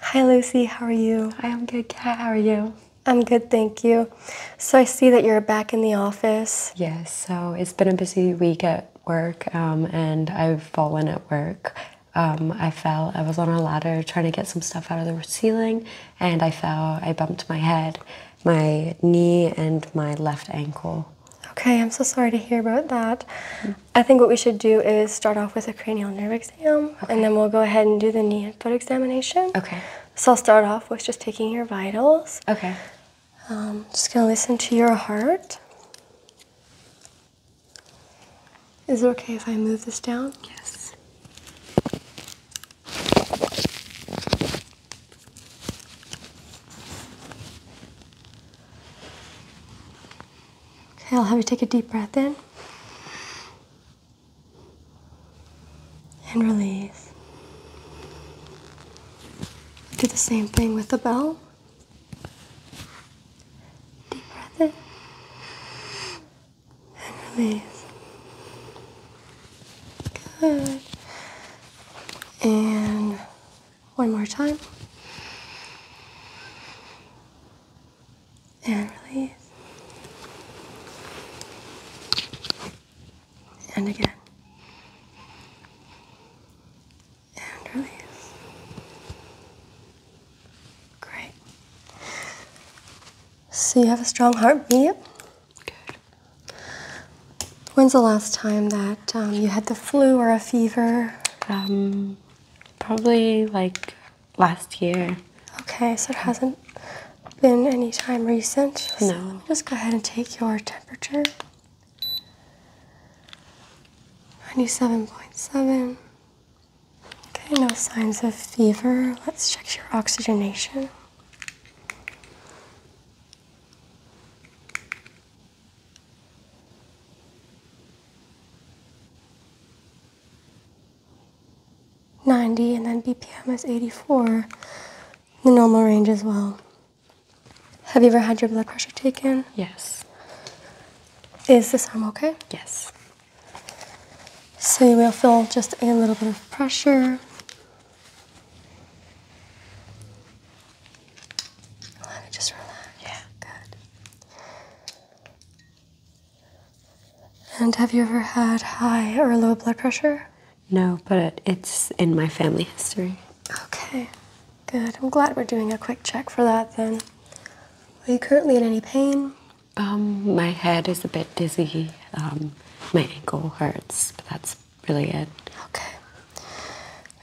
Hi Lucy, how are you? I am good, How are you? I'm good, thank you. So I see that you're back in the office. Yes, so it's been a busy week at work um, and I've fallen at work. Um, I fell, I was on a ladder trying to get some stuff out of the ceiling and I fell, I bumped my head, my knee and my left ankle. Okay, I'm so sorry to hear about that. I think what we should do is start off with a cranial nerve exam, and then we'll go ahead and do the knee and foot examination. Okay. So I'll start off with just taking your vitals. Okay. Um, just gonna listen to your heart. Is it okay if I move this down? Yes. Okay, I'll have you take a deep breath in and release. Do the same thing with the bell. Deep breath in and release. Good. And one more time and release. And again. And release. Great. So you have a strong heartbeat. Good. When's the last time that um, you had the flu or a fever? Um, probably like last year. Okay, so it hasn't been any time recent. no. just go ahead and take your temperature. 97.7. Okay, no signs of fever. Let's check your oxygenation. 90 and then BPM is 84, the normal range as well. Have you ever had your blood pressure taken? Yes. Is this arm okay? Yes. So you will feel just a little bit of pressure. Let it just relax. Yeah. Good. And have you ever had high or low blood pressure? No, but it's in my family history. Okay, good. I'm glad we're doing a quick check for that then. Are you currently in any pain? Um, my head is a bit dizzy. Um, my ankle hurts, but that's really it. Okay.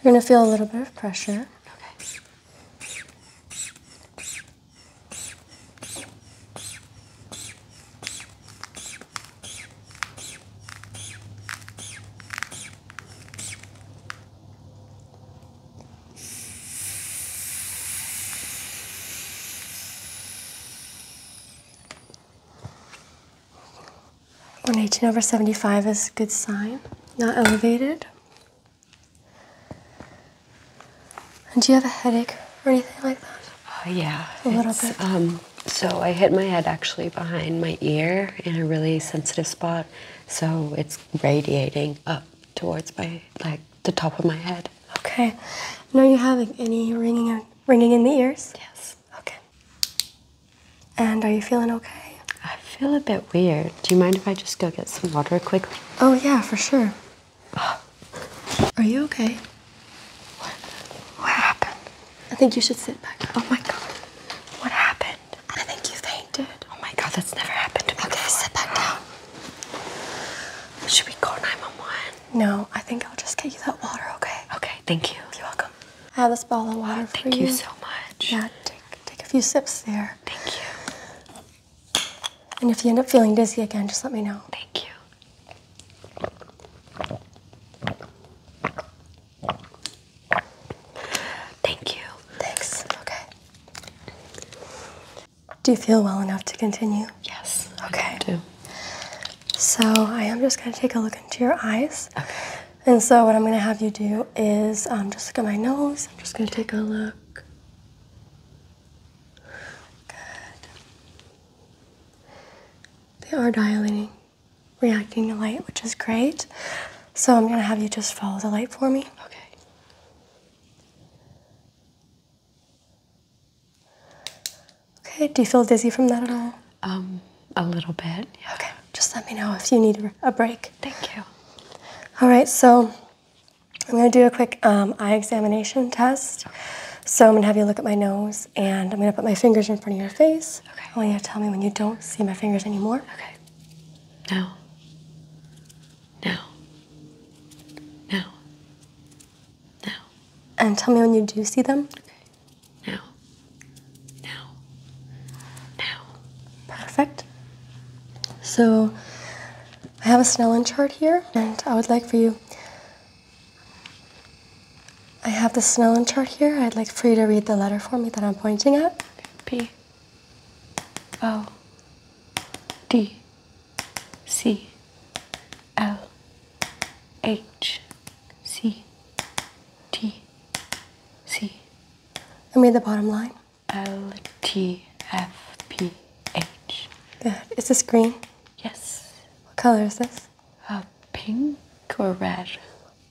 You're gonna feel a little bit of pressure. Okay. 118 over 75 is a good sign, not elevated. And do you have a headache or anything like that? Uh, yeah. A little bit. Um, so I hit my head actually behind my ear in a really sensitive spot. So it's radiating up towards my, like, the top of my head. Okay. No, you having any ringing, ringing in the ears? Yes. Okay. And are you feeling okay? I feel a bit weird. Do you mind if I just go get some water quickly? Oh, yeah, for sure. Are you okay? What? What happened? I think you should sit back. Oh my god. What happened? I think you fainted. Oh my god, that's never happened to me. Okay, sit back down. Should we call 911? No, I think I'll just get you that water, okay? Okay, thank you. You're welcome. I have this bottle of water Thank you so much. Yeah, take, take a few sips there. Thank you. And if you end up feeling dizzy again, just let me know. Thank you. Thank you. Thanks. Okay. Do you feel well enough to continue? Yes. Okay. do. So I am just going to take a look into your eyes. And so what I'm going to have you do is um, just look at my nose. I'm just going to take a look. Good. They are dilating, reacting to light, which is great. So I'm going to have you just follow the light for me. Okay. Okay, do you feel dizzy from that at all? Um, a little bit. Okay, just let me know if you need a break. Thank you. All right, so I'm going to do a quick um, eye examination test. So I'm going to have you look at my nose, and I'm going to put my fingers in front of your face. Okay. I want you to tell me when you don't see my fingers anymore. Okay. Now. Now. No. No. And tell me when you do see them. Okay. No. No. No. Perfect. So I have a Snellen chart here, and I would like for you. I have the Snellen chart here. I'd like for you to read the letter for me that I'm pointing at. P. O. D. C. L. H. C. T. C. And read the bottom line. LTFPH. Good. Uh, is this green? Yes. What color is this? Uh, pink or red.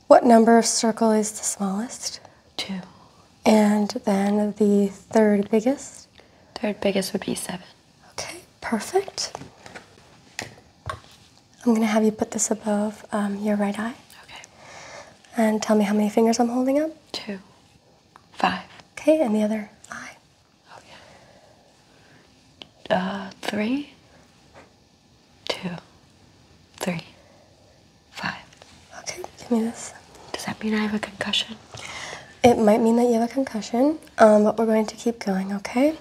What number of circle is the smallest? Two. And then the third biggest? Third biggest would be seven. Okay, perfect. I'm gonna have you put this above um, your right eye. Okay. And tell me how many fingers I'm holding up? Two. Five. Okay, and the other eye? Okay. Uh, three, two, three, five. Okay, give me this. Does that mean I have a concussion? It might mean that you have a concussion, um, but we're going to keep going, okay?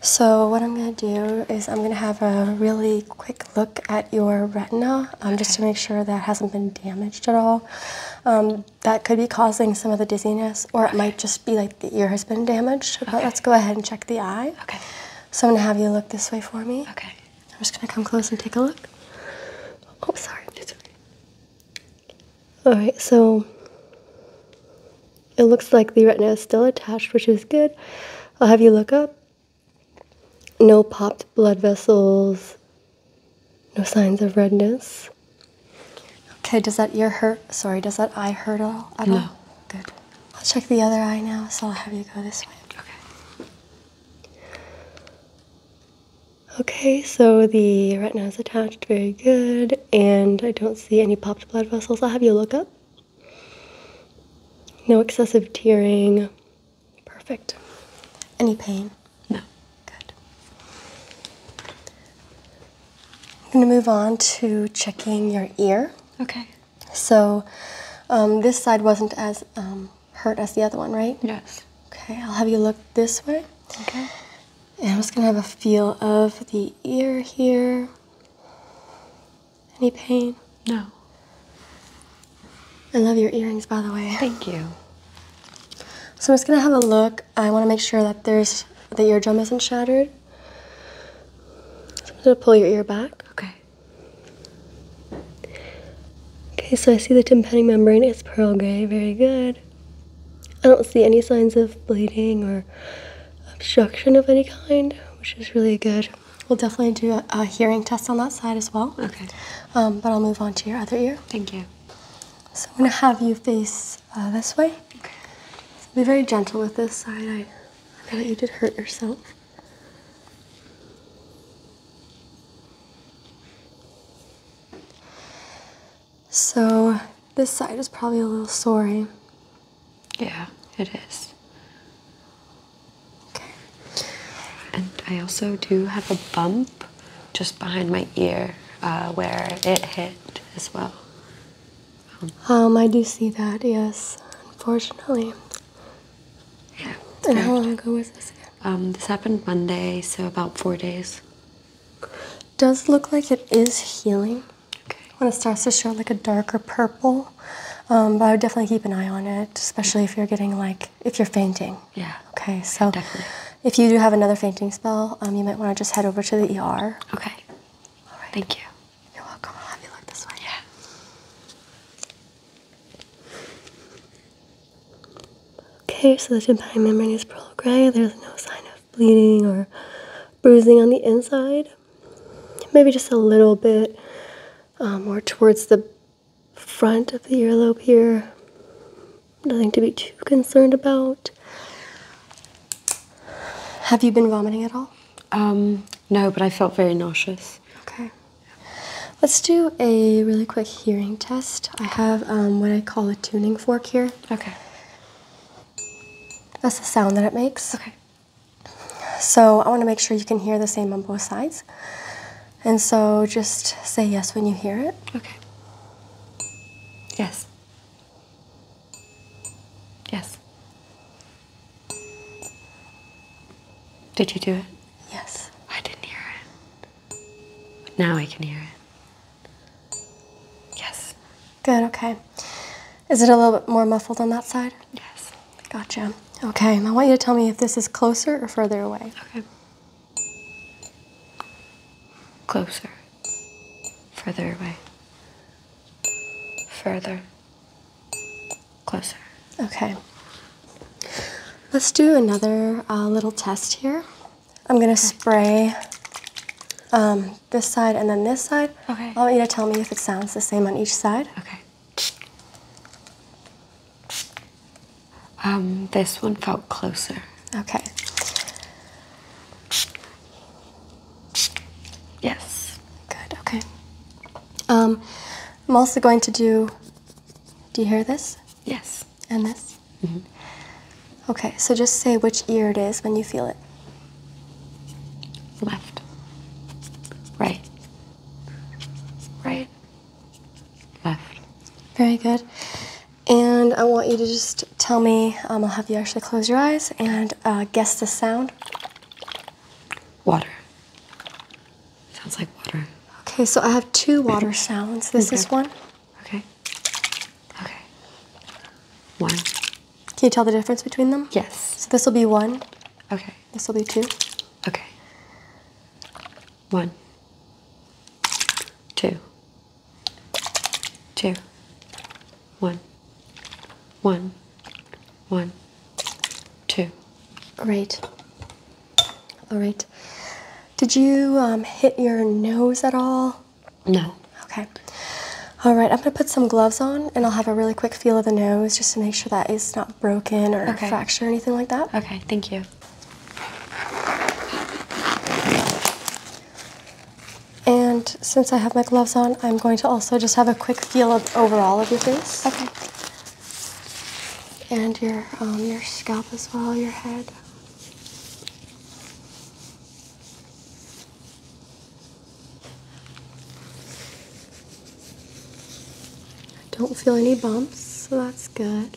So what I'm going to do is I'm going to have a really quick look at your retina um, just to make sure that hasn't been damaged at all. Um, that could be causing some of the dizziness, or it might just be like the ear has been damaged. But let's go ahead and check the eye. Okay. So I'm gonna have you look this way for me. Okay. I'm just gonna come close and take a look. Oh, sorry. All right. So it looks like the retina is still attached, which is good. I'll have you look up. No popped blood vessels. No signs of redness. Okay, does that ear hurt? Sorry, does that eye hurt at all? no. Good. I'll check the other eye now, so I'll have you go this way. Okay. Okay, so the retina is attached, very good, and I don't see any popped blood vessels. I'll have you look up. No excessive tearing. Perfect. Any pain? No. Good. I'm going to move on to checking your ear. Okay. So um, this side wasn't as um, hurt as the other one, right? Yes. Okay, I'll have you look this way. Okay. And I'm just going to have a feel of the ear here. Any pain? No. I love your earrings, by the way. Thank you. So I'm just gonna have a look. I wanna make sure that there's the eardrum isn't shattered. I'm gonna pull your ear back. Okay. Okay, so I see the tympanic membrane is pearl gray, very good. I don't see any signs of bleeding or obstruction of any kind, which is really good. We'll definitely do a, hearing test on that side as well. Okay. Um, but I'll move on to your other ear. Thank you. So I'm gonna have you face uh, this way. So be very gentle with this side. I, feel like you did hurt yourself. So this side is probably a little sore. Eh? Yeah, it is. Okay. And I also do have a bump just behind my ear uh, where it hit as well. Um, I do see that, yes, unfortunately. Yeah. And how long ago was this? Um, this happened Monday, so about four days. Does look like it is healing. Okay. When it starts to show like a darker purple, um, but I would definitely keep an eye on it, especially if you're getting like if you're fainting. Yeah. Okay, so Definitely. if you do have another fainting spell, um, you might want to just head over to the ER. Okay. All right. Thank you. You're welcome. I'll have you look this one. Yeah. Okay, so the tympanic membrane is pearl gray. There's no sign of bleeding or bruising on the inside. Maybe just a little bit um, more towards the front of the earlobe here nothing to be too concerned about. Have you been vomiting at all? Um, no, but I felt very nauseous. Okay. Let's do a really quick hearing test. I have um, what I call a tuning fork here. Okay. That's the sound that it makes. Okay. So I want to make sure you can hear the same on both sides. And so just say yes when you hear it. Okay. Yes. Yes. Did you do it? Yes. I didn't hear it. now I can hear it. Yes. Good, okay. Is it a little bit more muffled on that side? Yes. Gotcha. Okay, I want you to tell me if this is closer or further away. Okay. Closer. Further away. Further. Closer. Okay. Let's do another uh, little test here. I'm gonna spray um, this side and then this side. Okay. I want you to tell me if it sounds the same on each side. Okay. Um, this one felt closer. Okay. Yes. Good, okay. Um, I'm also going to do. Do you hear this? Yes. And this? Mm-hmm. Okay, so just say which ear it is when you feel it. Left. Right. Right. Left. Very good. And I want you to just tell me, um, I'll have you actually close your eyes and uh, guess the sound. Water. Sounds like water. Okay, so I have two water sounds. This is one. Okay. Okay. One. Can you tell the difference between them? Yes. So this will be one. Okay. This will be two. Okay. One. Two two, one, one, one, two. Great. All right. Did you um, hit your nose at all? No. Okay. All right, I'm gonna put some gloves on and I'll have a really quick feel of the nose just to make sure that it's not broken or okay. fractured or anything like that. Okay, thank you. And since I have my gloves on, I'm going to also just have a quick feel of overall of your face. Okay. And your um, your scalp as well, your head. I don't feel any bumps, so that's good.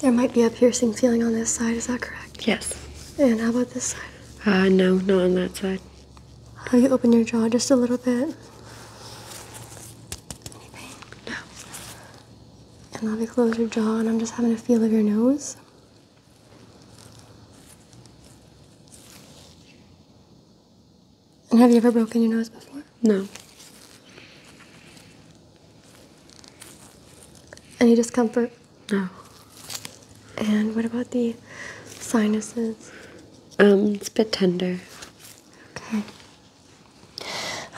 There might be a piercing feeling on this side, is that correct? Yes. And how about this side? Uh, no, not on that side. How you open your jaw just a little bit? Any pain? No. And let me close your jaw, and I'm just having a feel of your nose. And have you ever broken your nose before? No. Any discomfort? No. And what about the sinuses? Um, it's a bit tender. Okay.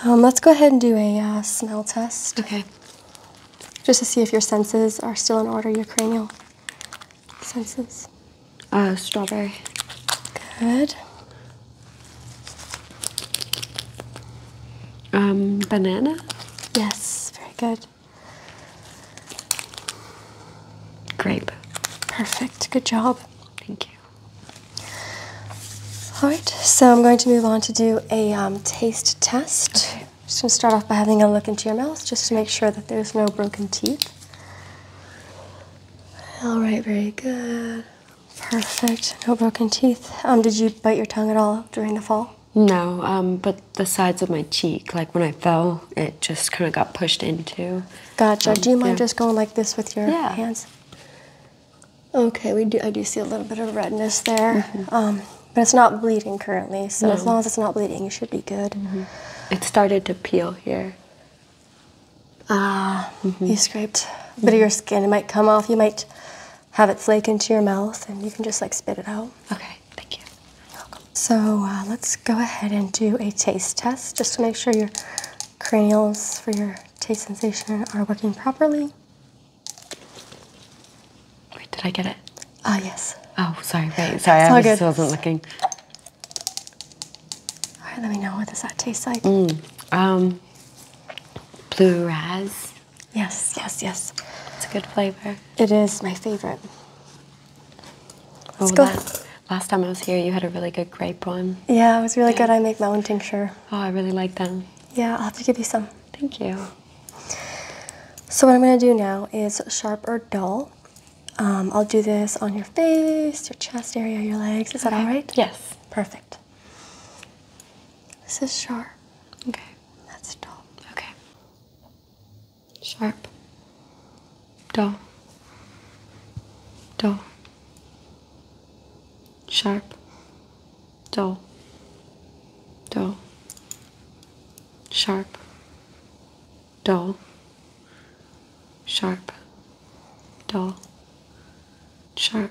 Um, let's go ahead and do a uh, smell test. Okay. Just to see if your senses are still in order, your cranial senses. Uh, strawberry. Good. Um, banana? Yes, very good. Grape. Perfect, good job. Thank you. All right, so I'm going to move on to do a um, taste test. Okay. Just gonna start off by having a look into your mouth just to make sure that there's no broken teeth. All right, very good. Perfect. No broken teeth. Um, did you bite your tongue at all during the fall? No, um, but the sides of my cheek, like when I fell, it just kind of got pushed into. Gotcha. Um, do you mind just going like this with your hands? Okay, we do. I do see a little bit of redness there, mm-hmm. but it's not bleeding currently. So as long as it's not bleeding, it should be good. Mm-hmm. It started to peel here. Ah, mm-hmm. you scraped a bit of your mm-hmm. skin. It might come off. You might have it flake into your mouth, and you can just like spit it out. Okay, thank you. Welcome. So uh, let's go ahead and do a taste test just to make sure your cranials for your taste sensation are working properly. Wait, did I get it? Ah, yes. Oh, sorry. Wait, sorry, I was, good. wasn't looking. All right, let me know what does that taste like. Mm, um blue raz. Yes, yes, yes. It's a good flavor. It is my favorite. oh, go. Last, time I was here, you had a really good grape one. Yeah, it was really good. I make my own tincture. Oh, I really like them. Yeah, I'll have to give you some. Thank you. So what I'm going to do now is sharp or dull. Um, I'll do this on your face, your chest area, your legs. Is that all right? Yes. Perfect. This is sharp. Okay, that's dull. Okay. Sharp. Dull. Dull. Sharp. Dull. Dull. Sharp. Dull. Sharp. Dull. Sharp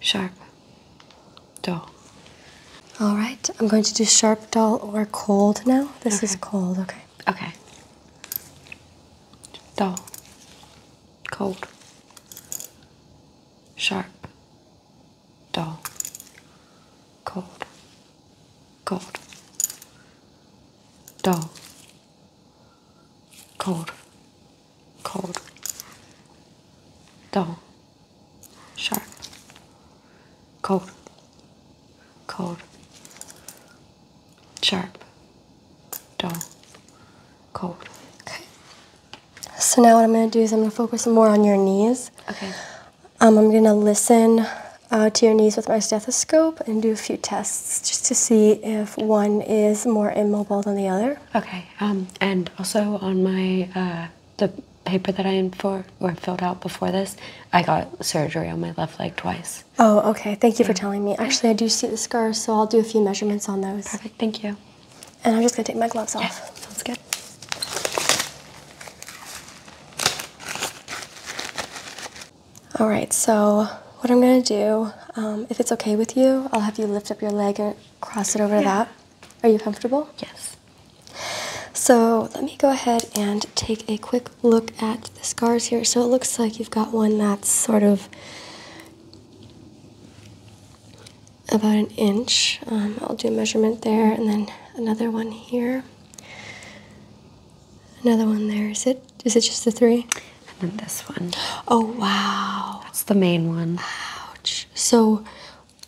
sharp, dull. All right, I'm going to do sharp, dull, or cold now. This is cold, okay. Okay. Dull, cold, sharp, dull, cold, cold, dull, cold, cold, dull sharp, cold, cold, sharp, dull, cold. Okay. So now what I'm going to do is I'm going to focus more on your knees. Okay. Um, I'm going to listen uh, to your knees with my stethoscope and do a few tests just to see if one is more immobile than the other. Okay. Um, and also on my uh, the paper that I am for or filled out before this, I got surgery on my left leg twice. Oh, okay. Thank you for telling me. Actually, I do see the scars, so I'll do a few measurements on those. Perfect. Thank you. And I'm just gonna take my gloves off. Yeah, sounds good. All right. So what I'm gonna do, um, if it's okay with you, I'll have you lift up your leg and cross it over that. Are you comfortable? Yes. So let me go ahead and take a quick look at the scars here. So it looks like you've got one that's sort of about an inch. Um, I'll do a measurement there and then another one here. Another one there. Is it? Is it just the three? And then this one. Oh, wow. That's the main one. Ouch. So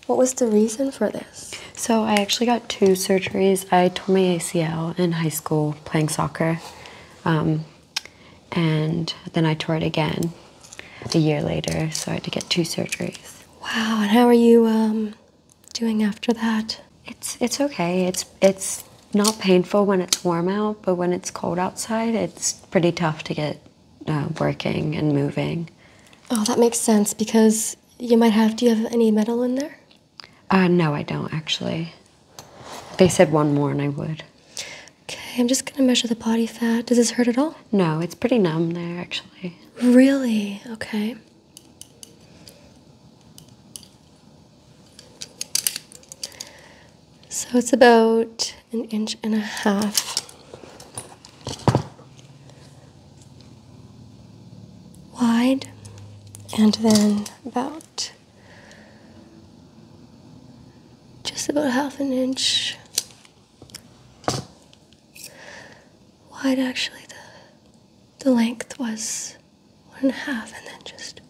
what was the reason for this? So I actually got two surgeries. I tore my ACL in high school playing soccer, um, and then I tore it again a year later. So I had to get two surgeries. Wow! And how are you um, doing after that? It's it's okay. It's it's not painful when it's warm out, but when it's cold outside, it's pretty tough to get uh, working and moving. Oh, that makes sense because you might have. Do you have any metal in there? Uh, no, I don't actually. They said one more and I would. Okay, I'm just gonna measure the body fat. Does this hurt at all? No, it's pretty numb there actually. Really? Okay. So it's about an inch and a half wide, and then about just about half an inch wide. Actually, the the length was one and a half, and then just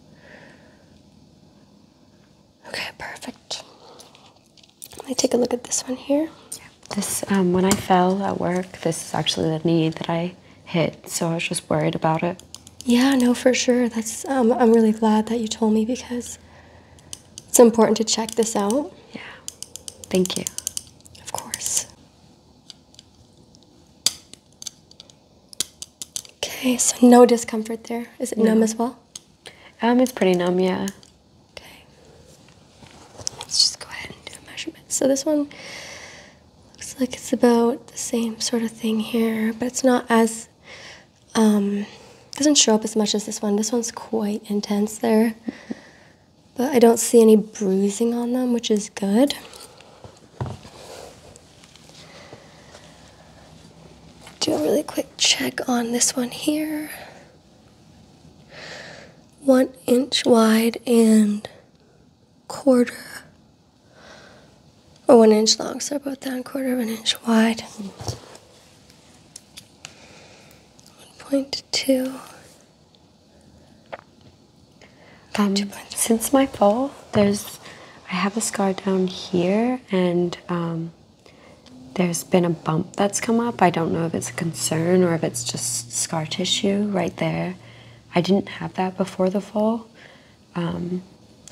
okay, perfect. Let me take a look at this one here. This, um, when I fell at work, this is actually the knee that I hit, so I was just worried about it. Yeah, no, for sure. That's, um, I'm really glad that you told me because it's important to check this out. Yeah, thank you. Of course. Okay, so no discomfort there. Is it numb as well? Um, it's pretty numb, yeah. Okay. Let's just go ahead and do a measurement. So this one looks like it's about the same sort of thing here, but it's not as um, doesn't show up as much as this one. This one's quite intense there. But I don't see any bruising on them, which is good. Do a really quick check on this one here one inch wide and quarter or one inch long, so about that quarter of an inch wide. 1.2. Um, since my fall, there's I have a scar down here, and um, there's been a bump that's come up. I don't know if it's a concern or if it's just scar tissue right there. I didn't have that before the fall. Um,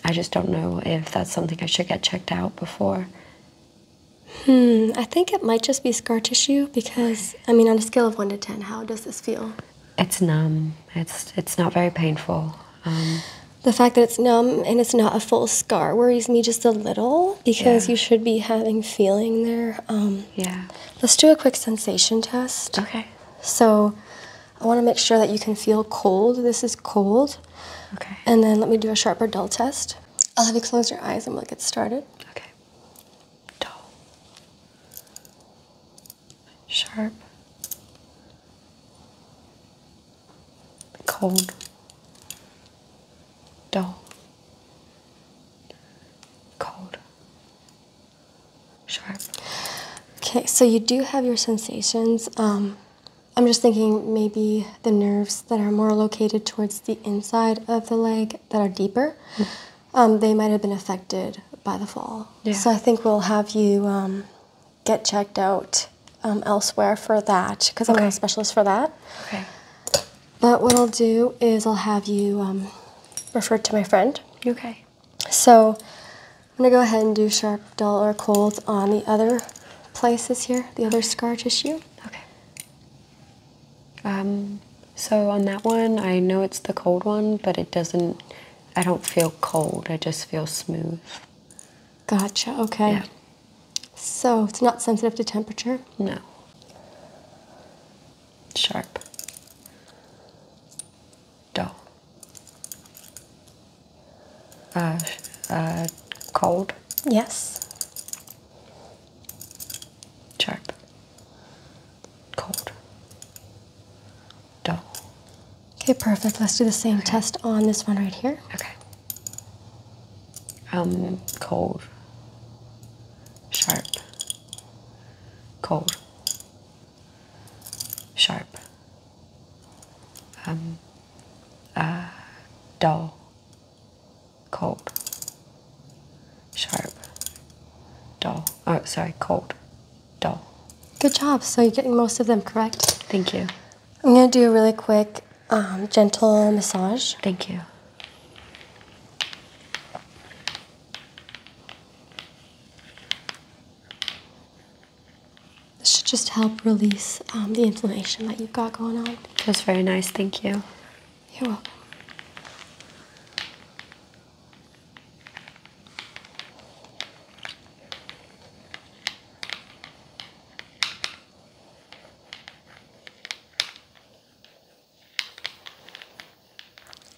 I just don't know if that's something I should get checked out before. Hmm, I think it might just be scar tissue because, I mean, on a scale of 1 to 10, how does this feel? It's numb. It's, it's not very painful. Um, the fact that it's numb and it's not a full scar worries me just a little because you should be having feeling there. Um, yeah. Let's do a quick sensation test. Okay. So I want to make sure that you can feel cold. This is cold. Okay. And then let me do a sharp or dull test. I'll have you close your eyes and we'll get started. Okay. Dull. Sharp. Cold dull, cold, sharp. Okay, so you do have your sensations. Um, I'm just thinking maybe the nerves that are more located towards the inside of the leg that are deeper, hmm. um, they might have been affected by the fall. So I think we'll have you um, get checked out elsewhere for that because I'm not a specialist for that. Okay. But what I'll do is I'll have you um, refer to my friend. Okay. So I'm gonna go ahead and do sharp, dull, or cold on the other places here, the other scar tissue. Okay. Um, so on that one, I know it's the cold one, but it doesn't, I don't feel cold. I just feel smooth. Gotcha, okay. Yeah. So it's not sensitive to temperature? No sharp, dull, uh, uh, cold. Yes. Sharp, cold, dull. Okay, perfect. Let's do the same test on this one right here. Okay. Um, cold sharp, cold, sharp, um, ah, dull, cold, sharp, dull. Oh, sorry, cold, dull. Good job. So you're getting most of them correct. Thank you. I'm going to do a really quick, um, gentle massage. Thank you. This should just help release um, the inflammation that you've got going on. It was very nice, thank you. You're welcome.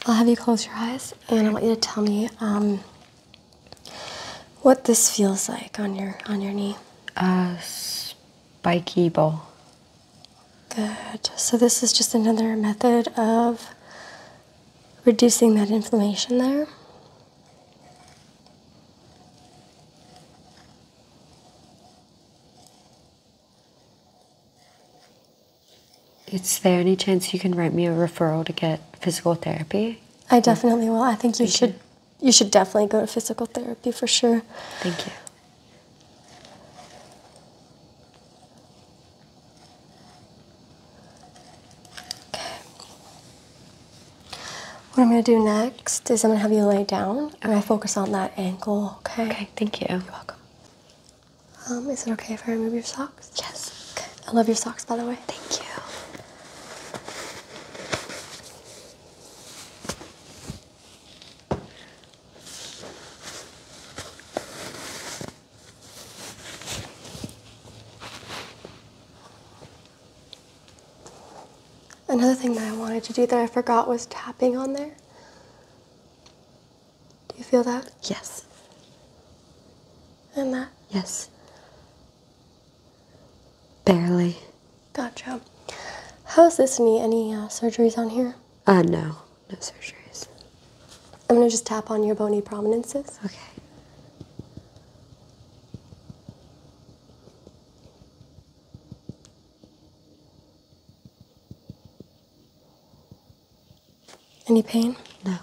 I'll have you close your eyes and I want you to tell me um, what this feels like on your on your knee. Uh, spiky ball. Good. So this is just another method of reducing that inflammation there. Is there any chance you can write me a referral to get physical therapy? I definitely will. I think you should you. you should definitely go to physical therapy for sure. Thank you. What I'm going to do next is I'm going to have you lay down and I focus on that ankle, okay? Okay, thank you. You're welcome. Um, is it okay if I remove your socks? Yes. I love your socks, by the way. Thank you. Another thing that I wanted to do that I forgot was tapping on there. Do you feel that? Yes. And that? Yes. Barely. Gotcha. How's this knee? Any uh, surgeries on here? Uh, no. No surgeries. I'm gonna just tap on your bony prominences. Okay. Any pain? No.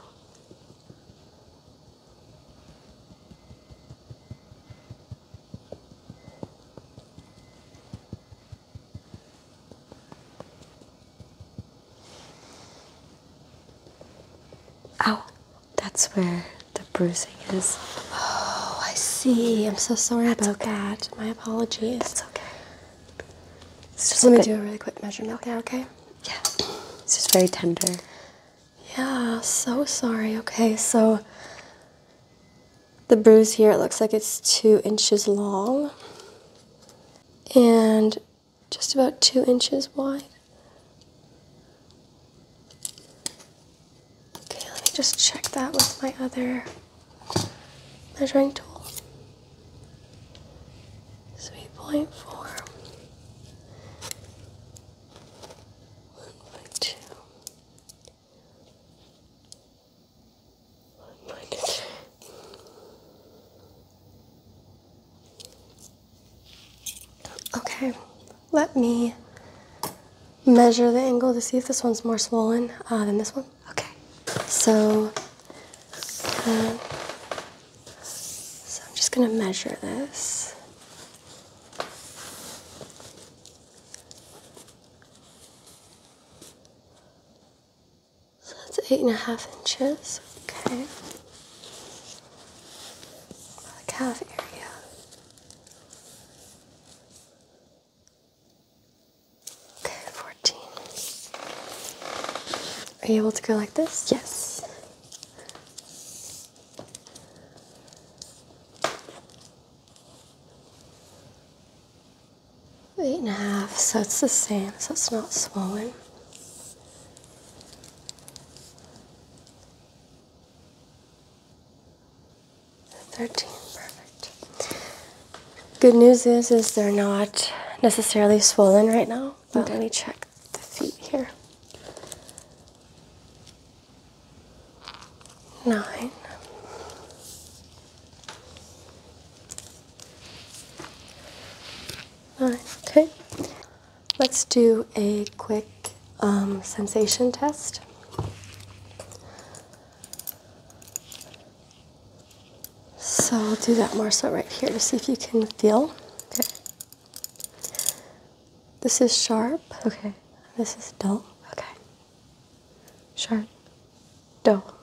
Ow. Oh, that's where the bruising is. Oh, I see. I'm so sorry about that. My apologies. That's okay. Let me do a really quick measurement okay. there, okay? Yeah. It's just very tender. Yeah, so sorry. Okay, so the bruise here, it looks like it's two inches long and just about two inches wide. Okay, let me just check that with my other measuring tool. 3.4, 1.2, 1.3. Okay, let me measure the angle to see if this one's more swollen uh, than this one. Okay. So, so I'm just going to measure this. So that's eight and a half inches. Okay. The calf area. Okay, 14. Are you able to go like this? Yes. Eight and a half, so it's the same, so it's not swollen. 13, perfect. Good news is, is they're not necessarily swollen right now. let me check the feet here. Nine. Nine, okay. Let's do a quick um, sensation test. So I'll do that more so right here to see if you can feel. Okay. This is sharp. Okay. This is dull. Okay. Sharp. Dull.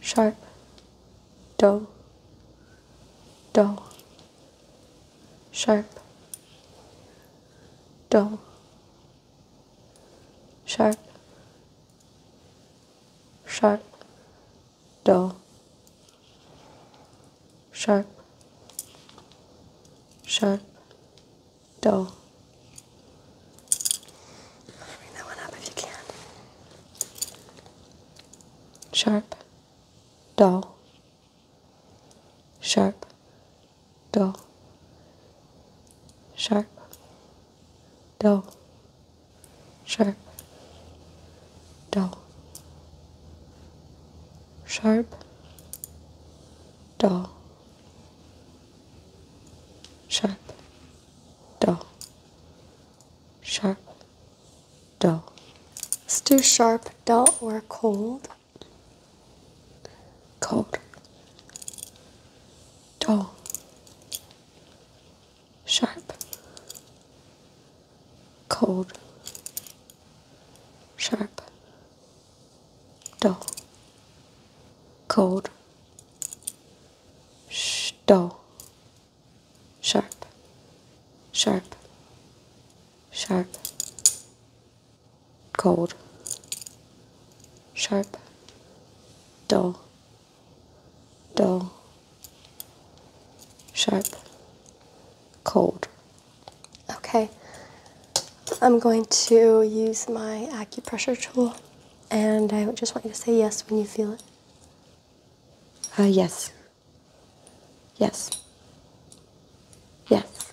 Sharp. Dull. Dull. Sharp. Dull sharp, sharp, dull, sharp, sharp, dull. Bring that one up if you can. Sharp, dull, sharp, dull, sharp, dull, sharp, dull, sharp, dull, sharp, dull, sharp, dull. Let's do sharp, dull, or cold. Cold dull, sharp, cold, sharp, dull, cold, dull, sharp, sharp, sharp, cold, sharp, dull, dull, sharp, cold. Okay, I'm going to use my acupressure tool and I just want you to say yes when you feel it. Ah, yes. Yes. Yes.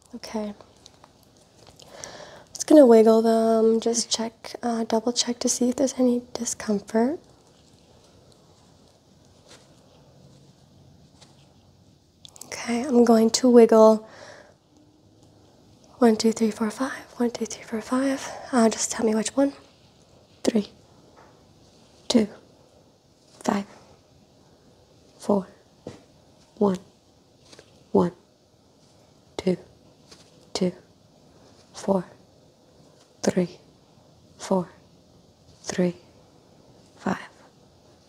Okay. just gonna wiggle them, just mm-hmm. check, uh, double check to see if there's any discomfort. Okay, I'm going to wiggle one, two, three, four, five. One, two, three, four, five. Uh, just tell me which one. Three. Two. Five. Four. One. One two, two, four, three, four, three, five,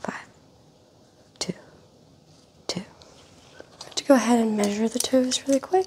five, two, two. to go ahead and measure the toes really quick.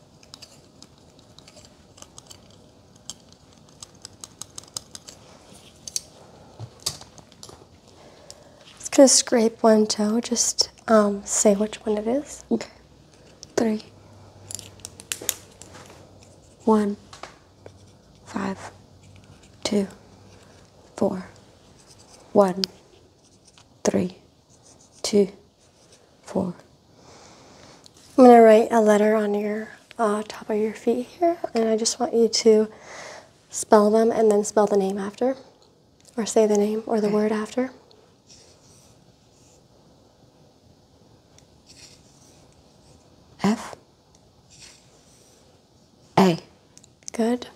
i Just gonna scrape one toe. Just um, say which one it is. Okay. Three. One. Five. Two. Four. One. Three. Two four. I'm going to write a letter on your uh, top of your feet here, and I just want you to spell them and then spell the name after, or say the name or the word after. F A. Good.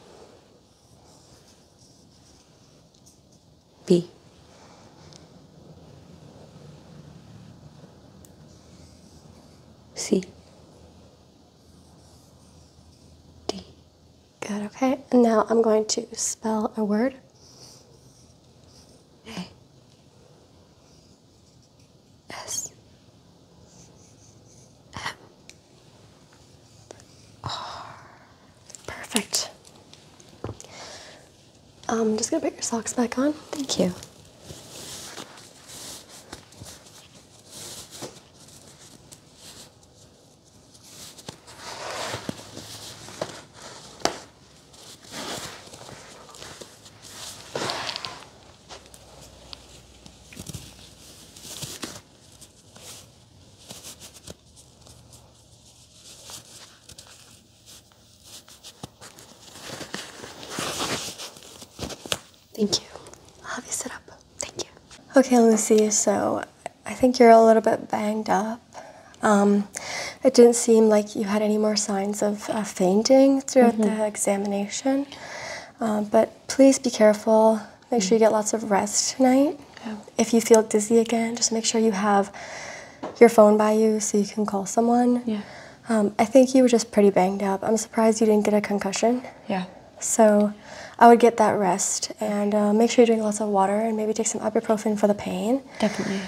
B. C. D. Good, okay. now I'm going to spell a word. A. S. M. R. Perfect. I'm um, just gonna put your socks back on. Thank you. Thank you. I'll have you sit up. Thank you. Okay, Lucy, so I think you're a little bit banged up. Um, it didn't seem like you had any more signs of fainting throughout the mm-hmm. examination. Uh, but please be careful. Make sure you get lots of rest tonight. If you feel dizzy again, just make sure you have your phone by you so you can call someone. Yeah. Um, I think you were just pretty banged up. I'm surprised you didn't get a concussion. Yeah. So I would get that rest and uh, make sure you drink lots of water and maybe take some ibuprofen for the pain. Definitely.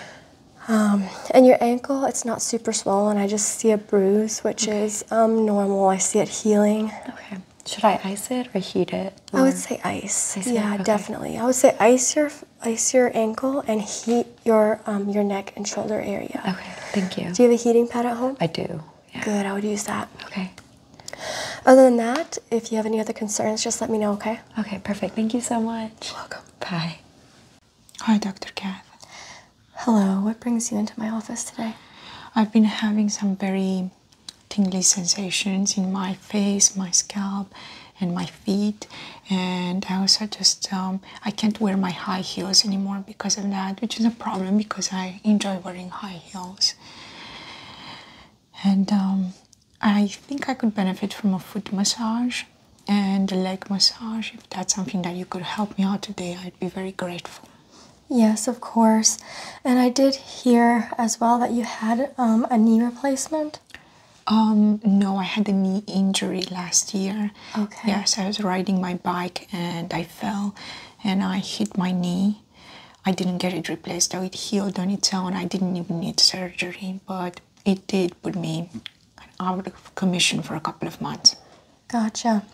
Um, and your ankle, it's not super swollen. I just see a bruise, which is um, normal. I see it healing. Okay. Should I ice it or heat it? I would say ice. ice yeah, definitely. I would say ice your ice your ankle and heat your um, your neck and shoulder area. Okay, thank you. Do you have a heating pad at home? I do. Good, I would use that. Okay. Other than that, if you have any other concerns, just let me know, okay? Okay, perfect. Thank you so much. welcome. Bye. Hi, Dr. Kath. Hello, what brings you into my office today? I've been having some very tingly sensations in my face, my scalp, and my feet and I also just um, I can't wear my high heels anymore because of that which is a problem because I enjoy wearing high heels and um, I think I could benefit from a foot massage and a leg massage if that's something that you could help me out today I'd be very grateful Yes, of course. And I did hear as well that you had um, a knee replacement. Um, no, I had a knee injury last year. Okay. Yes, I was riding my bike and I fell and I hit my knee. I didn't get it replaced, though it healed on its own. I didn't even need surgery, but it did put me out of commission for a couple of months. Gotcha.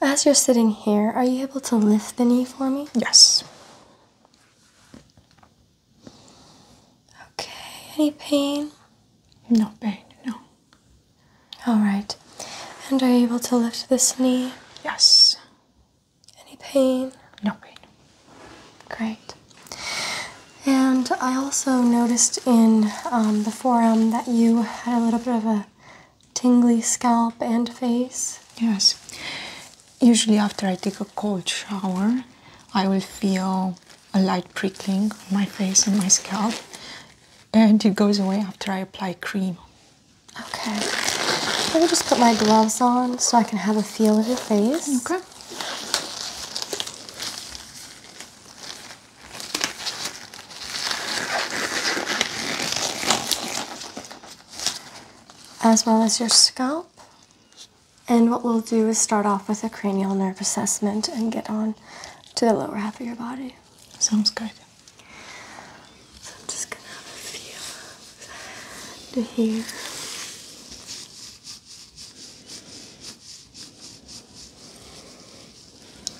As you're sitting here, are you able to lift the knee for me? Yes. Okay, any pain? No pain, no. All right. And are you able to lift this knee? Yes. Any pain? No pain. Great. And I also noticed in um, the forearm that you had a little bit of a tingly scalp and face. Yes. Usually, after I take a cold shower, I will feel a light prickling on my face and my scalp, and it goes away after I apply cream. Okay. I'll just put my gloves on so I can have a feel of your face. Okay. As well as your scalp. And what we'll do is start off with a cranial nerve assessment and get on to the lower half of your body. Sounds good. So I'm just gonna have a feel to here.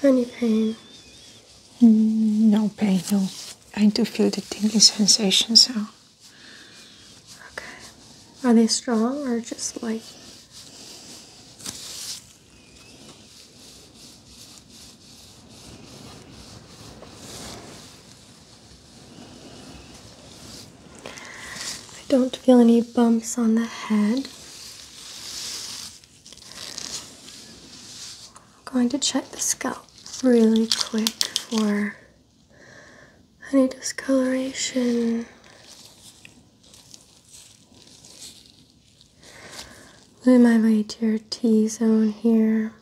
Any pain? Mm, no pain, no. I do feel the tingling sensations, though. Okay. Are they strong or just light? I don't feel any bumps on the head. I'm going to check the scalp really quick for any discoloration. Moving my way to your T zone here.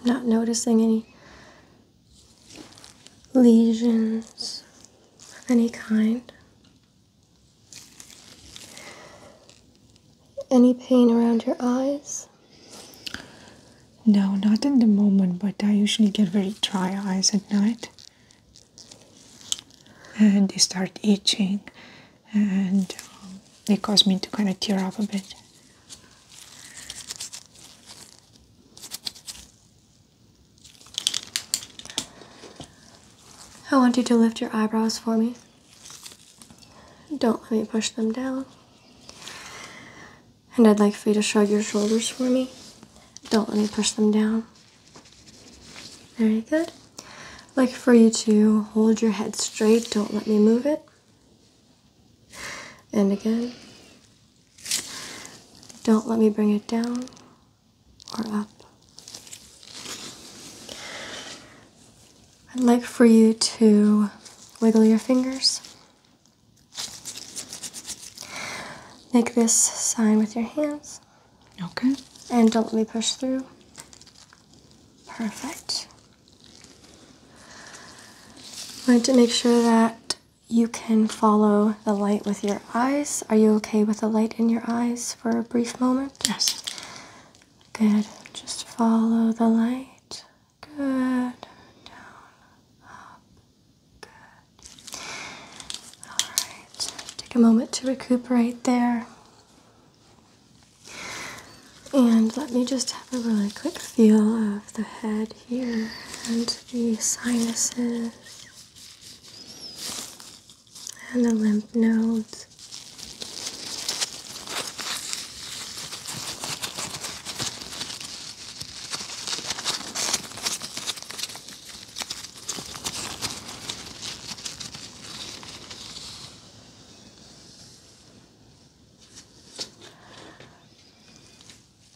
I'm not noticing any lesions of any kind. Any pain around your eyes? No, not in the moment, but I usually get very dry eyes at night and they start itching and um, they cause me to kind of tear up a bit. I want you to lift your eyebrows for me. Don't let me push them down. And I'd like for you to shrug your shoulders for me. Don't let me push them down. Very good. I'd like for you to hold your head straight. Don't let me move it. And again. Don't let me bring it down or up. I'd like for you to wiggle your fingers Make this sign with your hands. Okay. And don't let me push through. Perfect. i want to make sure that you can follow the light with your eyes. Are you okay with the light in your eyes for a brief moment? Yes. Good. Just follow the light. Good. Down, up, all right. Take a moment to recuperate there. And let me just have a really quick feel of the head here and the sinuses and the lymph nodes.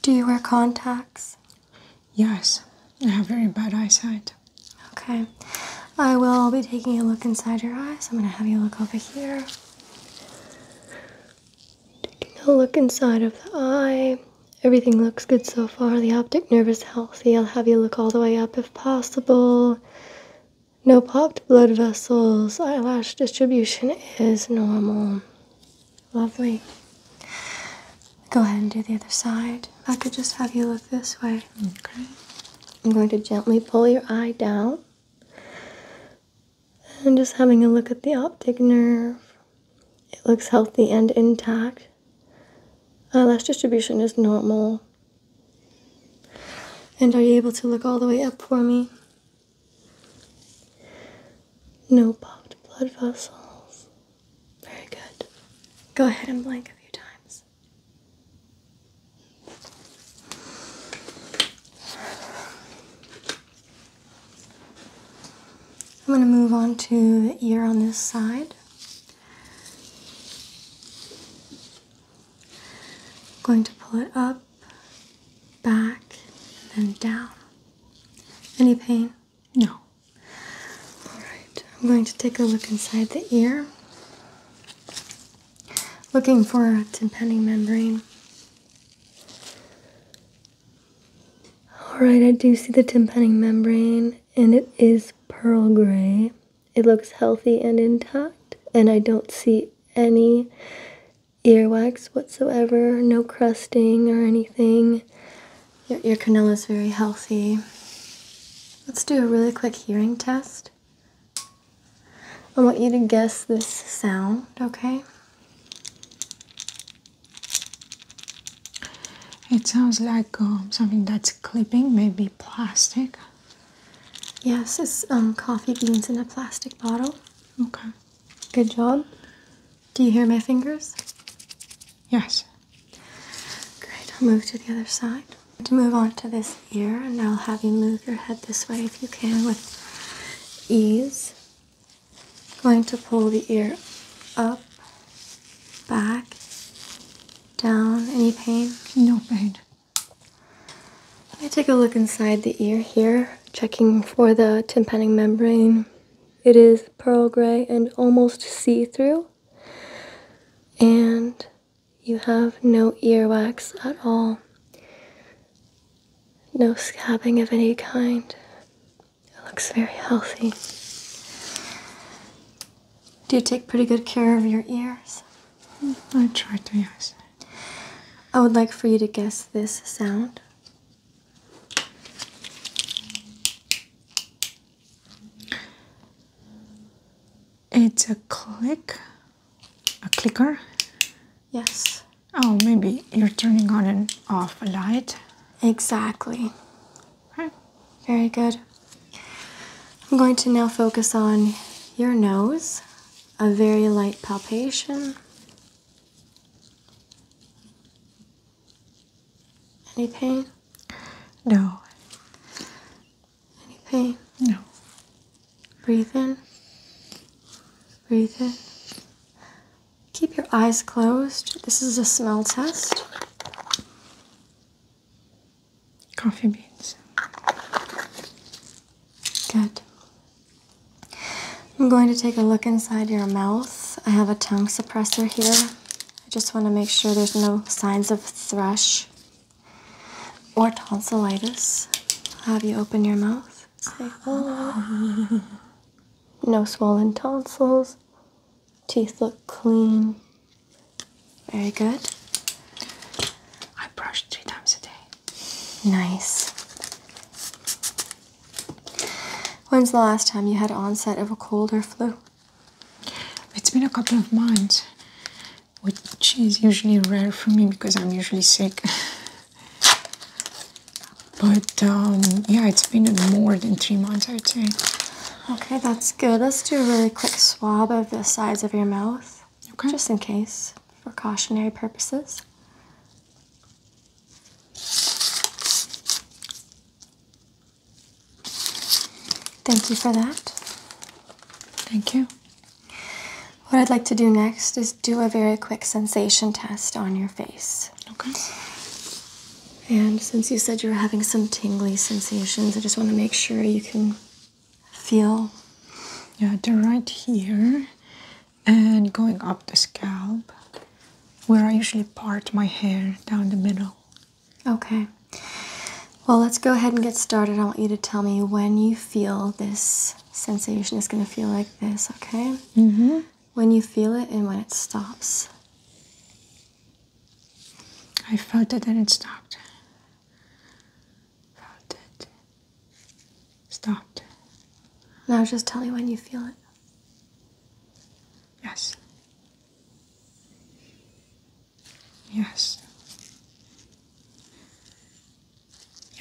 Do you wear contacts? Yes, I have very bad eyesight. Okay, I will be taking a look inside your eyes. I'm going to have you look over here. Taking a look inside of the eye. Everything looks good so far. The optic nerve is healthy. I'll have you look all the way up if possible. No popped blood vessels. Eyelash distribution is normal. Lovely. Go ahead and do the other side. I could just have you look this way. Okay. I'm going to gently pull your eye down. And just having a look at the optic nerve. It looks healthy and intact. Uh, last distribution is normal. And are you able to look all the way up for me? No popped blood vessels. Very good. Go ahead and blink a few times. I'm going to move on to the ear on this side. I'm going to pull it up, back, and down. Any pain? No. Alright, I'm going to take a look inside the ear. Looking for a tympanic membrane. Alright, I do see the tympanum membrane, and it is pearl gray. It looks healthy and intact, and I don't see any earwax whatsoever, no crusting or anything. Your, your canal is very healthy. Let's do a really quick hearing test. I want you to guess this sound, okay? It sounds like um, something that's clipping, maybe plastic. Yes, it's um, coffee beans in a plastic bottle. Okay. Good job. Do you hear my fingers? Yes. Great, I'll move to the other side. To move on to this ear, and I'll have you move your head this way if you can with ease. Going to pull the ear up, back, down. Any pain? No pain. Let me take a look inside the ear here, checking for the tympanic membrane. It is pearl gray and almost see-through. And you have no earwax at all. No scabbing of any kind. It looks very healthy. Do you take pretty good care of your ears? Hmm, I try to, yes. I would like for you to guess this sound. It's a click, a clicker. Yes. Oh, maybe you're turning on and off a light. Exactly. Very good. I'm going to now focus on your nose, a very light palpation. Any pain? No. Any pain? No. Breathe in. Breathe in. Keep your eyes closed. This is a smell test. Coffee beans. Good. I'm going to take a look inside your mouth. I have a tongue suppressor here. I just want to make sure there's no signs of thrush or tonsillitis. have you open your mouth. Oh. No swollen tonsils. Teeth look clean. Very good. I brush three times a day. Nice. When's the last time you had onset of a cold or flu? It's been a couple of months, which is usually rare for me because I'm usually sick. but um, yeah, it's been more than three months, I'd say. Okay, that's good. Let's do a really quick swab of the sides of your mouth. Just in case, for cautionary purposes. Thank you for that. Thank you. What I'd like to do next is do a very quick sensation test on your face. Okay. And since you said you were having some tingly sensations, I just want to make sure you can feel. Yeah, the right here and going up the scalp where I usually part my hair down the middle. Okay. Well, let's go ahead and get started. I want you to tell me when you feel this sensation is going to feel like this, okay? hmm. When you feel it and when it stops. I felt it and it stopped. Felt it. Stopped. Now just tell you when you feel it. Yes. Yes.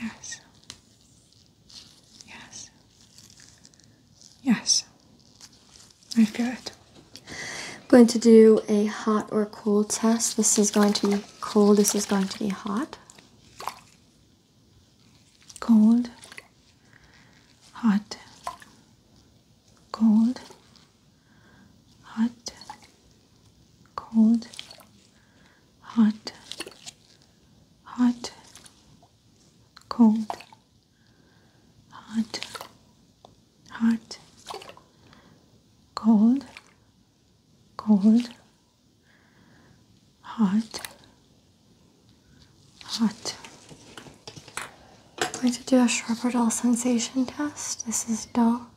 Yes. Yes. Yes, I feel it. I'm going to do a hot or cold test. This is going to be cold, this is going to be hot. Cold, hot, cold, hot, cold, hot, hot, cold hot, hot, cold, cold, hot, hot. i am going to do a sharp or dull sensation test. This is dull.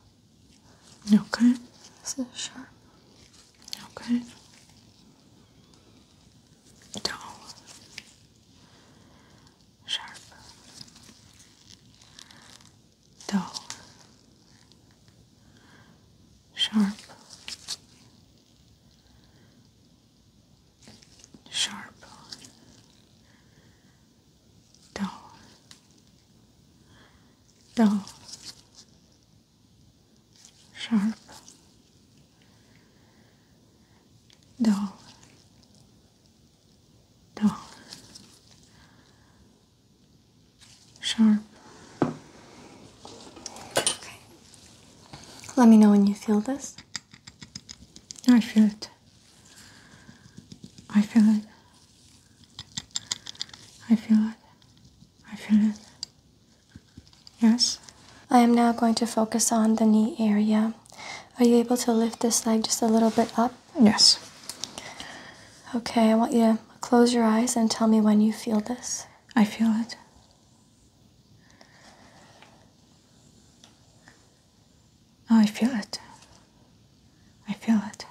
Okay. This is sharp. Okay. Dull sharp, dull, sharp, sharp, dull, dull, sharp, dull dull, sharp. Okay. Let me know when you feel this. I feel it. I feel it. I feel it. I feel it. Yes? I am now going to focus on the knee area. Are you able to lift this leg just a little bit up? Yes. Okay, I want you to close your eyes and tell me when you feel this. I feel it. Oh, I feel it. I feel it.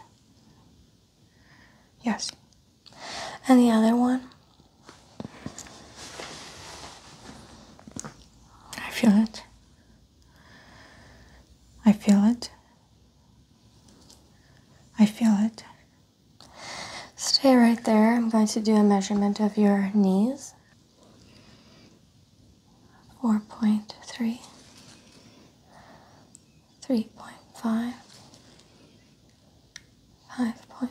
Yes. And the other one? I feel it. I feel it. I feel it. Stay right there. I'm going to do a measurement of your knees. 4.3, 3.5, 5.5,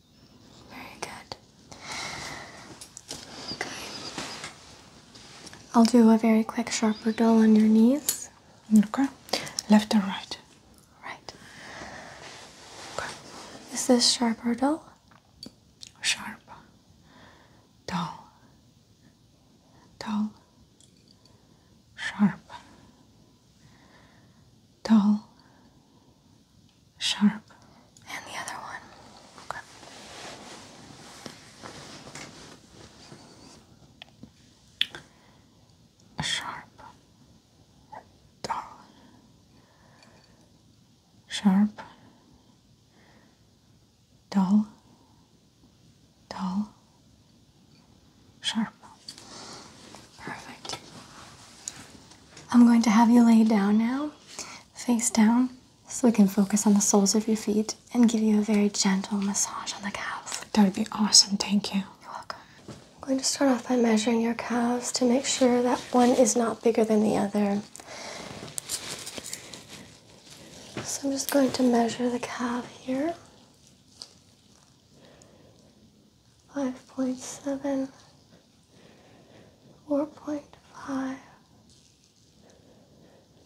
Very good. Okay. I'll do a very quick sharper dull on your knees. Okay. Left or right? Right. Okay. Is this sharp or dull? Sharp. Dull. Dull. Sharp. Dull sharp. And the other one. Okay. Sharp. Sharp. Dull. Dull. Sharp. Perfect. I'm going to have you lay down now, face down, so we can focus on the soles of your feet and give you a very gentle massage on the calves. That would be awesome, thank you. You're welcome. I'm going to start off by measuring your calves to make sure that one is not bigger than the other. So I'm just going to measure the calf here. 5.7 four point five,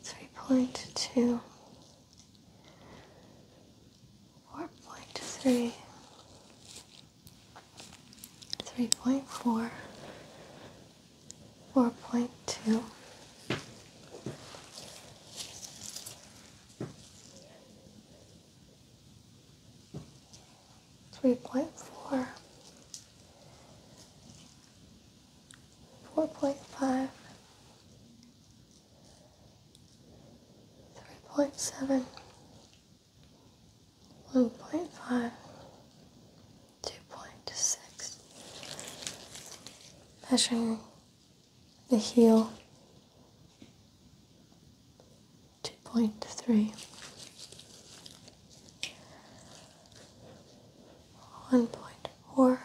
three point two, four point three, three point four, four point two. 4.3 three point four, four point five, three point seven, one point five, two point six. Measuring the heel 2.3 1.4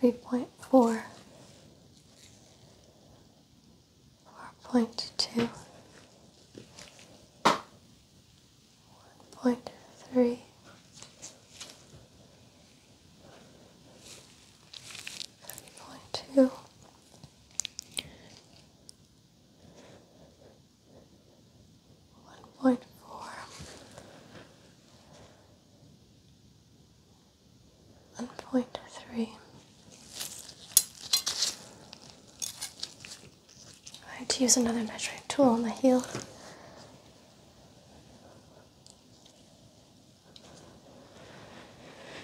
3.4 4.2 1.3 3.2 one point four, one point three. I had to use another measuring tool on the heel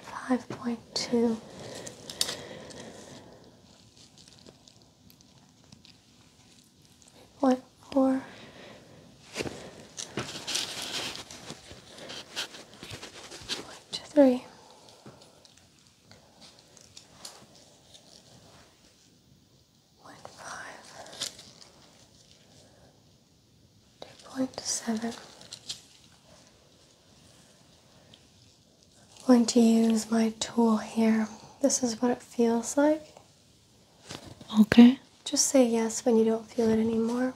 five point two. Point One four. four, point three, point five, 2.7. I'm going to use my tool here. This is what it feels like. Okay. Just say yes when you don't feel it anymore.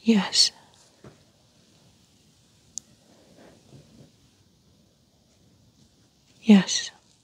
Yes. Yes.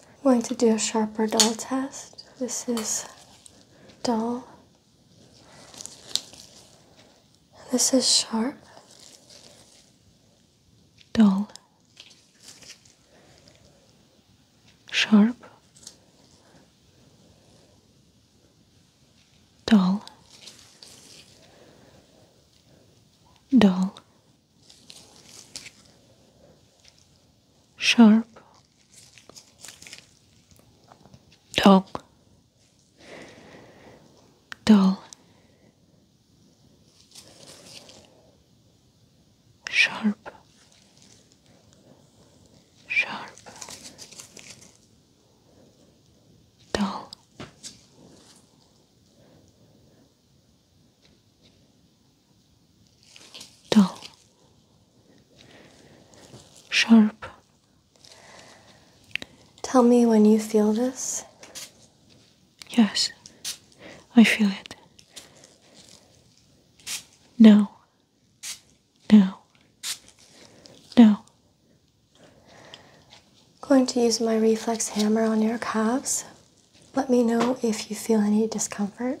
I'm going to do a sharper dull test. This is dull. This is sharp. Dull. Sharp. Dull. Dull. Sharp dull, dull, sharp, sharp, dull, dull, sharp. Tell me when you feel this. Yes, I feel it. No, no, no. Going to use my reflex hammer on your calves. Let me know if you feel any discomfort.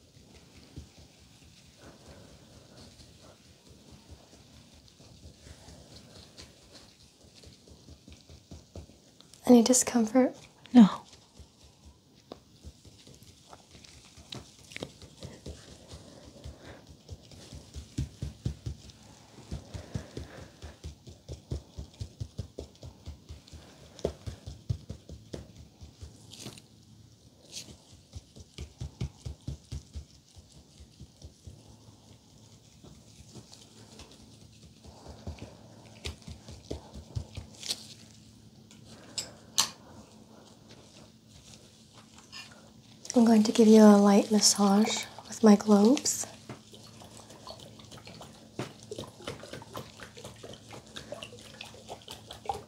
Any discomfort? No. I'm going to give you a light massage with my globes.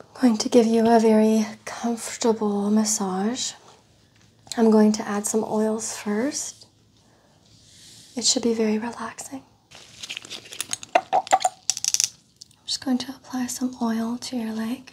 I'm going to give you a very comfortable massage. I'm going to add some oils first. It should be very relaxing. I'm just going to apply some oil to your leg.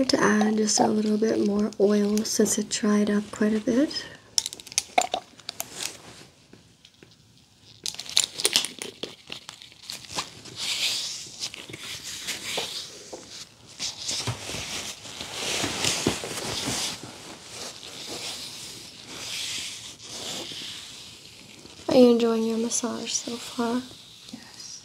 I'm going to add just a little bit more oil since it dried up quite a bit. Are you enjoying your massage so far? Yes.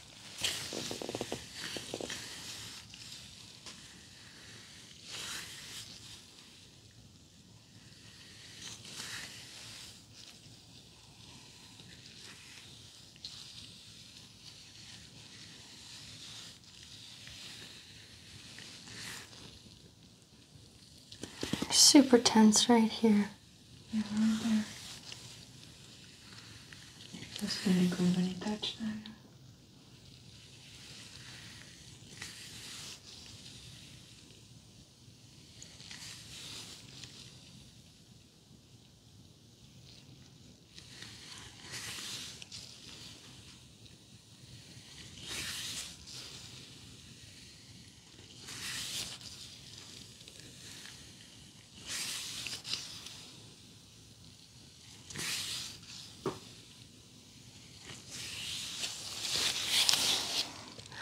Super tense right here. Yeah, right there. It feels when you touch that.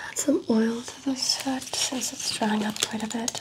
Add some oil to the set since it's drying up quite a bit.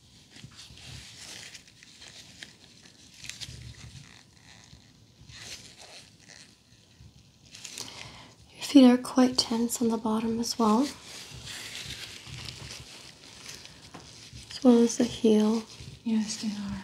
Your feet are quite tense on the bottom as well, as well as the heel. Yes, they are.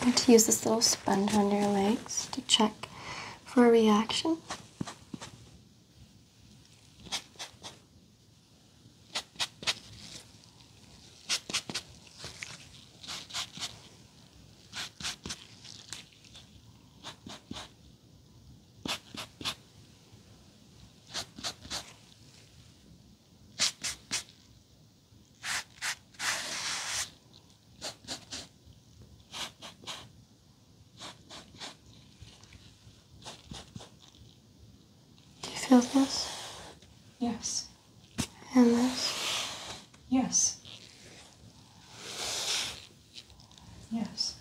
I'm going to use this little sponge under your legs to check for a reaction. Do you feel this? Yes. And this? Yes. Yes.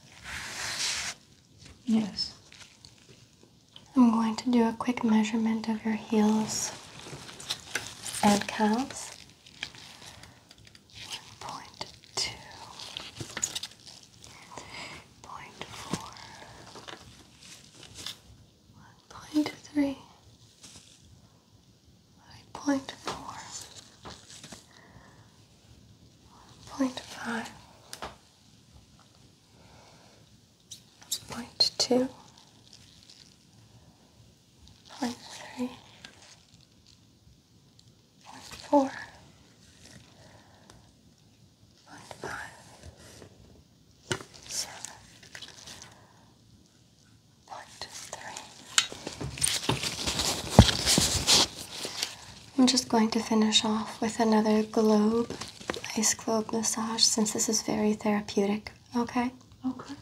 Yes. I'm going to do a quick measurement of your heels and calves one point two, point four, one point three, one point four, one point five, one point 1.2 point three, point four, point five, seven, point three. I'm just going to finish off with another globe, ice globe massage, since this is very therapeutic. Okay? Okay.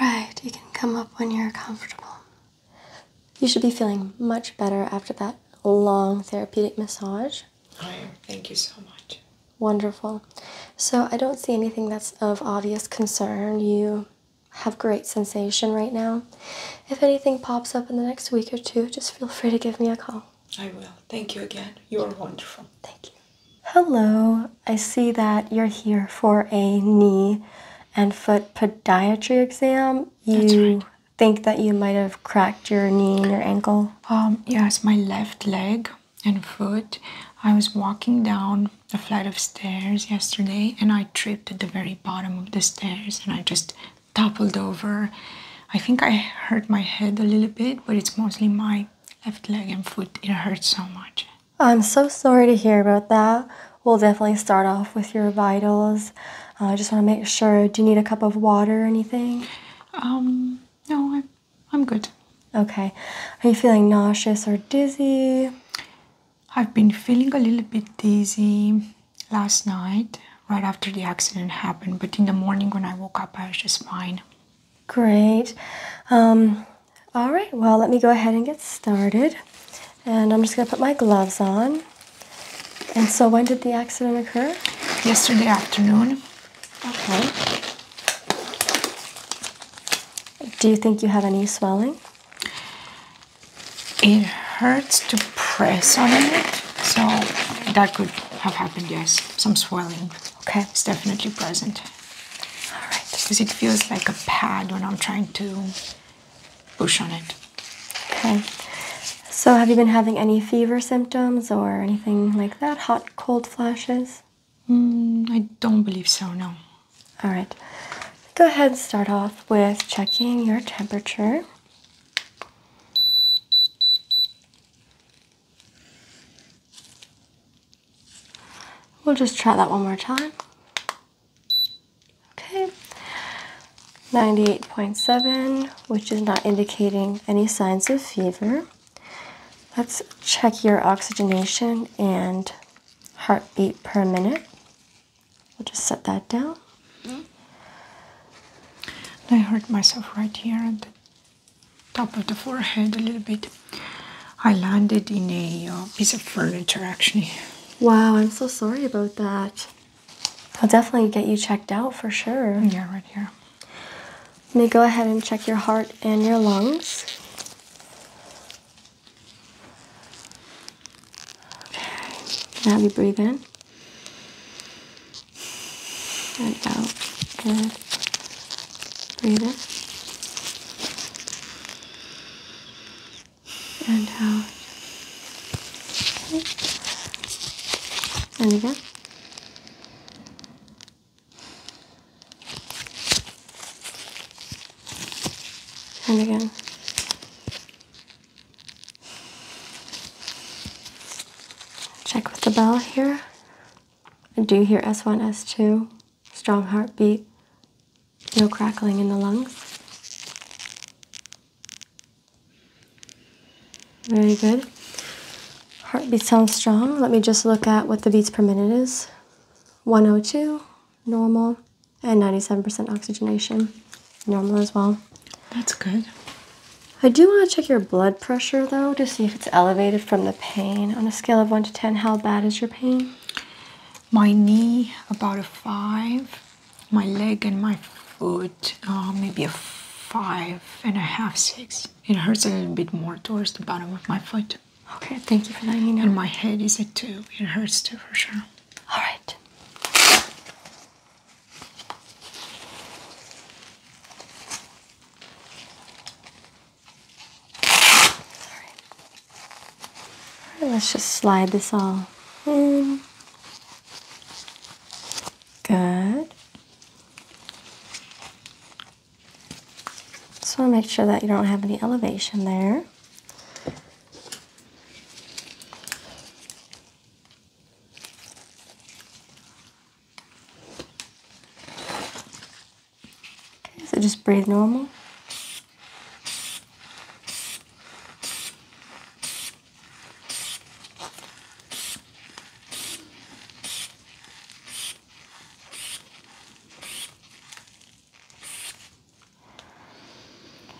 Alright, you can come up when you're comfortable. You should be feeling much better after that long therapeutic massage. I am. Thank you so much. Wonderful. So, I don't see anything that's of obvious concern. You have great sensation right now. If anything pops up in the next week or two, just feel free to give me a call. I will. Thank you again. You are wonderful. Thank you. Hello, I see that you're here for a knee and foot podiatry exam. You right. think that you might have cracked your knee and your ankle? Um, yes, my left leg and foot. I was walking down a flight of stairs yesterday and I tripped at the very bottom of the stairs and I just toppled over. I think I hurt my head a little bit, but it's mostly my left leg and foot. It hurts so much. I'm so sorry to hear about that. We'll definitely start off with your vitals. Uh, I just want to make sure. Do you need a cup of water or anything? Um, no, I'm, I'm good. Okay. Are you feeling nauseous or dizzy? I've been feeling a little bit dizzy last night, right after the accident happened, but in the morning when I woke up, I was just fine. Great. Um, all right, well, let me go ahead and get started. And I'm just going to put my gloves on. And so, when did the accident occur? Yesterday afternoon. Okay. Do you think you have any swelling? It hurts to press on it, so that could have happened, yes. Some swelling. Okay. It's definitely present. All right, because it feels like a pad when I'm trying to push on it. Okay. So, have you been having any fever symptoms or anything like that? Hot, cold flashes? Mm, I don't believe so, no. All right. Go ahead and start off with checking your temperature. We'll just try that one more time. Okay. 98.7, which is not indicating any signs of fever. Let's check your oxygenation and heartbeat per minute. We'll just set that down. Mm-hmm. I hurt myself right here and top of the forehead a little bit. I landed in a uh, piece of furniture actually. Wow, I'm so sorry about that. I'll definitely get you checked out for sure. Yeah, right here. Let me go ahead and check your heart and your lungs. Okay. Now you breathe in and out. Good. Breathe in. And out. Okay. And again. And again. Check with the bell here. Do you hear S1, S2 strong heartbeat, no crackling in the lungs. Very good. Heartbeat sounds strong. Let me just look at what the beats per minute is 102, normal, and 97% oxygenation, normal as well. That's good. I do want to check your blood pressure though to see if it's elevated from the pain. On a scale of 1 to 10, how bad is your pain? My knee, about a 5. My leg and my foot, uh, maybe a five and a half, six. It hurts a little bit more towards the bottom of my foot. Okay, thank you for letting me know. And my head is a 2. It hurts too, for sure. All right. All right, let's just slide this all in. Good. Just want to make sure that you don't have any elevation there. Okay, so just breathe normal.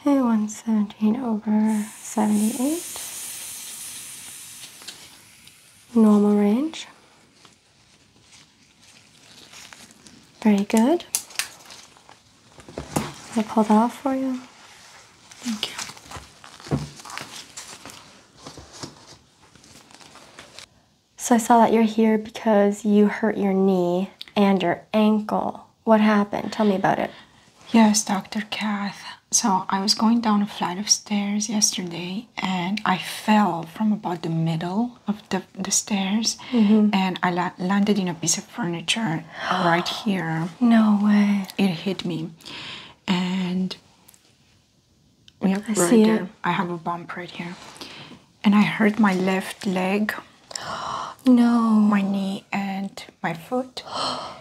Okay, 117 over 78. Normal range. Very good. I'll pull that off for you. Thank you. So I saw that you're here because you hurt your knee and your ankle. What happened? Tell me about it. Yes, Dr. Kath. So I was going down a flight of stairs yesterday and I fell from about the middle of the, the stairs mm-hmm. and I landed in a piece of furniture right here. No way. It hit me. And yep, I right there. I have a bump right here. And I hurt my left leg. No. My knee and my foot. wow,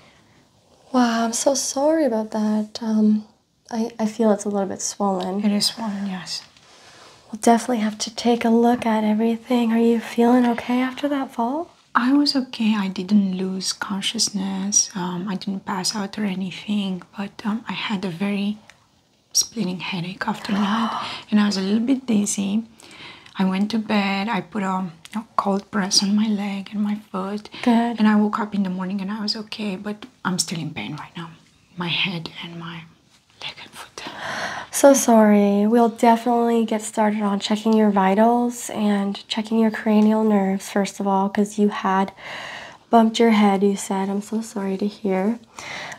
I'm so sorry about that. Um, I, I feel it's a little bit swollen. It is swollen, yes. We'll definitely have to take a look at everything. Are you feeling okay after that fall? I was okay. I didn't lose consciousness. Um, I didn't pass out or anything, but um, I had a very splitting headache after that, and I was a little bit dizzy. I went to bed. I put a, cold press on my leg and my foot, Good. and I woke up in the morning and I was okay. But I'm still in pain right now my head and my leg and foot. So sorry. We'll definitely get started on checking your vitals and checking your cranial nerves, first of all, because you had bumped your head, you said. I'm so sorry to hear.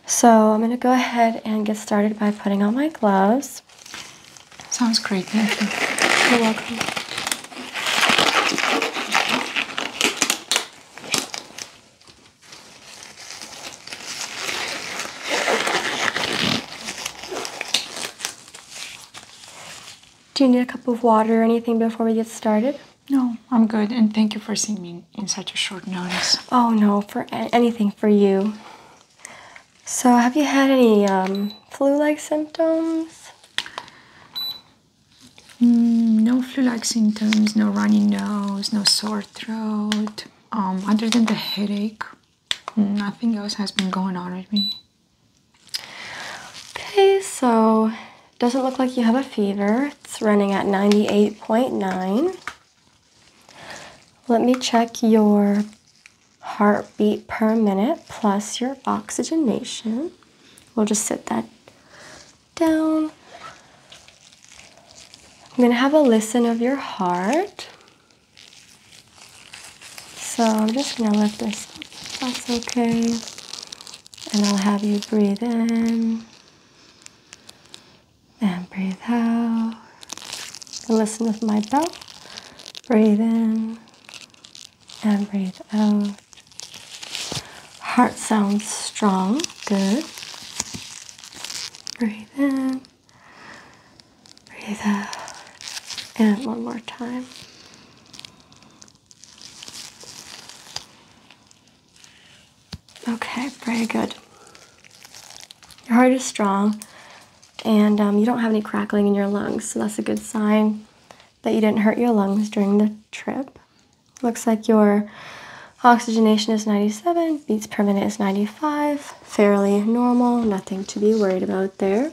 So I'm going to go ahead and get started by putting on my gloves. Sounds great. Thank You're welcome. Do you need a cup of water or anything before we get started? No, I'm good, and thank you for seeing me in such a short notice. Oh no, for anything for you. So, have you had any um, flu-like symptoms? Mm, no flu-like symptoms, no runny nose, no sore throat. Um, other than the headache, nothing else has been going on with me. Okay, so doesn't look like you have a fever. It's running at 98.9. Let me check your heartbeat per minute plus your oxygenation. We'll just set that down. I'm going to have a listen of your heart. So I'm just going to lift this up, that's okay. And I'll have you breathe in and breathe out. And listen with my bell. Breathe in and breathe out. Heart sounds strong. Good. Breathe in. Breathe out. And one more time. Okay, very good. Your heart is strong and um, you don't have any crackling in your lungs, so that's a good sign that you didn't hurt your lungs during the trip. Looks like your oxygenation is 97, beats per minute is 95, fairly normal, nothing to be worried about there.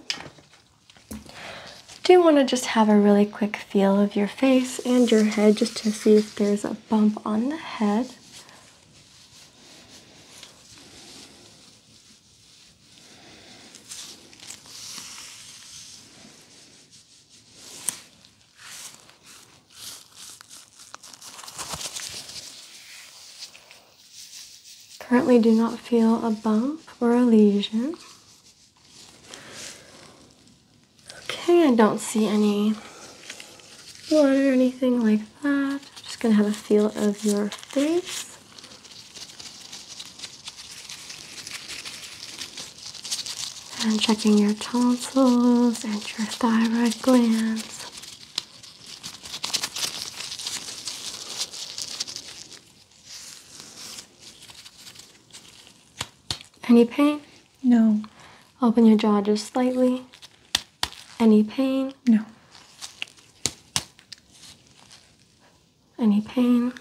Do want to just have a really quick feel of your face and your head just to see if there's a bump on the head. Currently, do not feel a bump or a lesion. Okay, I don't see any blood or anything like that. just gonna have a feel of your face and checking your tonsils and your thyroid glands. Any pain? No. Open your jaw just slightly. Any pain? No. Any pain?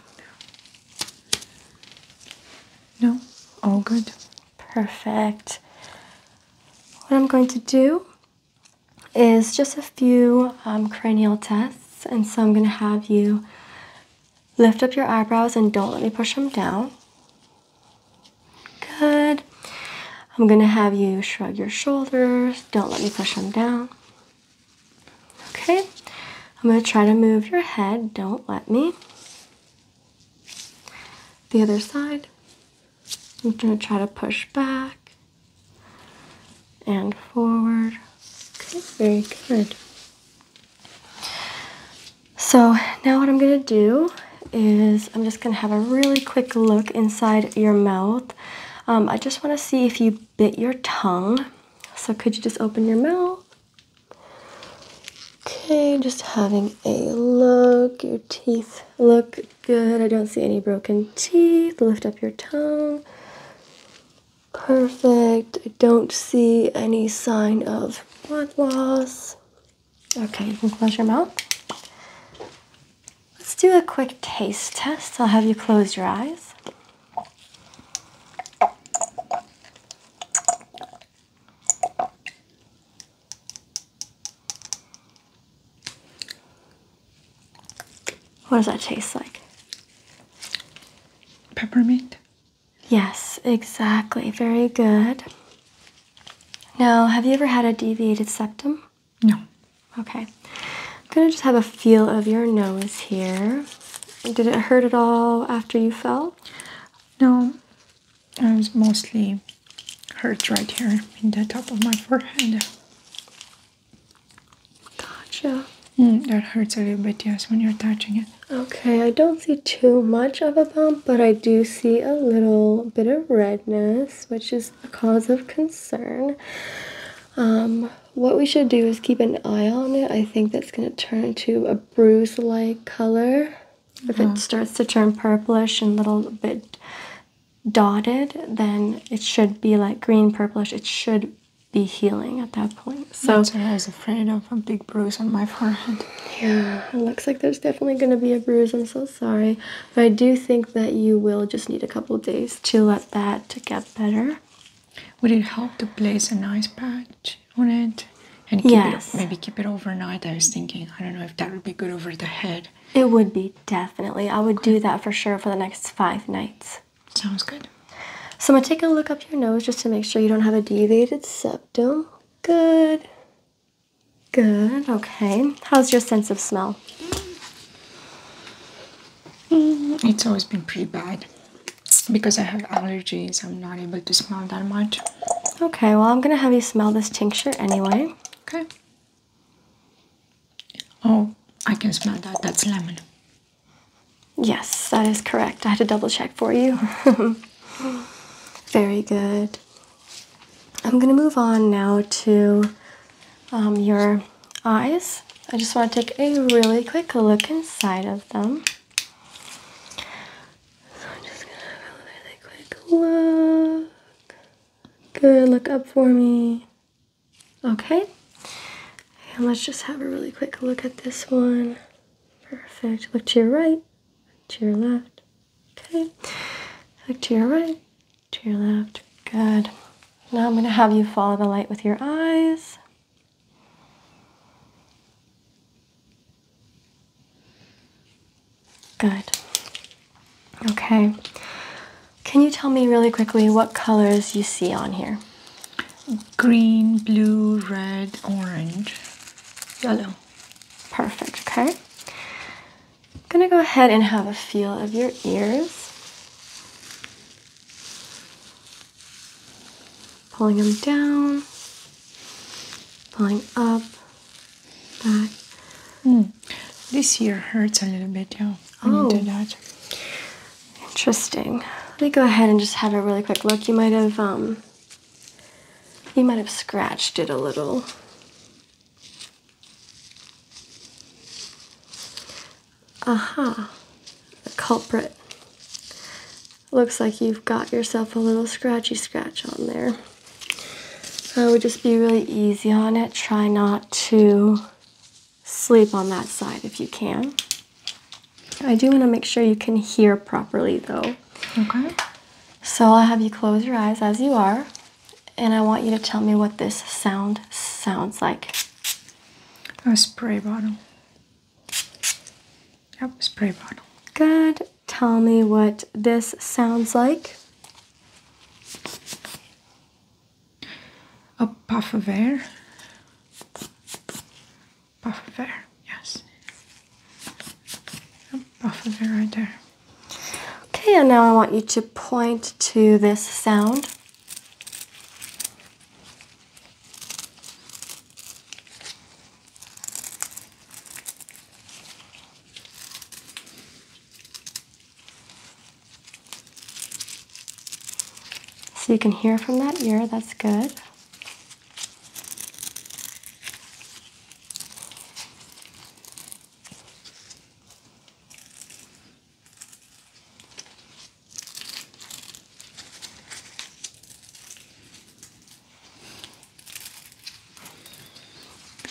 No. All good. Perfect. What I'm going to do is just a few um, cranial tests, and so I'm going to have you lift up your eyebrows and don't let me push them down. Good. I'm going to have you shrug your shoulders, don't let me push them down. Okay. I'm going to try to move your head, don't let me. The other side, I'm going to try to push back and forward. Okay, very good. So now what I'm going to do is I'm just going to have a really quick look inside your mouth. Um, I just want to see if you bit your tongue. So could you just open your mouth? Okay, just having a look. Your teeth look good. I don't see any broken teeth. Lift up your tongue. Perfect. I don't see any sign of blood loss. Okay, you can close your mouth. Let's do a quick taste test. I'll have you close your eyes. What does that taste like? Peppermint? Yes, exactly. Very good. Now, have you ever had a deviated septum? No. Okay. I'm going to just have a feel of your nose here. Did it hurt at all after you fell? No. I was mostly hurt right here in the top of my forehead. Gotcha. Mm, that hurts a little bit, yes, when you're touching it. Okay, I don't see too much of a bump, but I do see a little bit of redness, which is a cause of concern. Um, what we should do is keep an eye on it. I think that's going to turn into a bruise like color. If it uh-huh. starts to turn purplish and a little bit dotted, then it should be like green purplish. It should be healing at that point. So I was afraid of a big bruise on my forehead. Yeah, it looks like there's definitely going to be a bruise. I'm so sorry, but I do think that you will just need a couple days to let that to get better. Would it help to place an ice pack? on it and maybe keep it overnight. I was thinking, I don't know if that would be good over the head. It would be definitely. I would do that for sure for the next five nights. Sounds good. So I'm gonna take a look up your nose just to make sure you don't have a deviated septum. Good. Good. Okay. How's your sense of smell? Mm, it's always been pretty bad because I have allergies. I'm not able to smell that much. Okay, well, I'm going to have you smell this tincture anyway. Okay. Oh, I can smell that. That's lemon. Yes, that is correct. I had to double check for you. Very good. I'm going to move on now to um, your eyes. I just want to take a really quick look inside of them. So I'm just gonna have a really quick look. Good, look up for me. Okay. And let's just have a really quick look at this one. Perfect. Look to your right, to your left. Okay. Look to your right, to your left. Good. Now I'm going to have you follow the light with your eyes. Good. Okay. Can you tell me really quickly what colors you see on here? Green, blue, red, orange, yellow. Perfect. Okay. I'm going to go ahead and have a feel of your ears. Pulling them down, pulling up. This year hurts a little bit, yeah. Oh. Interesting. Let me go ahead and just have a really quick look. You might have um, you might have scratched it a little. Aha. The culprit. Looks like you've got yourself a little scratchy scratch on there. So I would just be really easy on it. Try not to sleep on that side if you can. I do want to make sure you can hear properly though. Okay. So I'll have you close your eyes as you are, and I want you to tell me what this sound sounds like. A spray bottle. Yep, spray bottle. Good tell me what this sounds like? A puff of air. Puff of air, yes. A puff of air right there. Okay, and now I want you to point to this sound. So you can hear from that ear, that's good.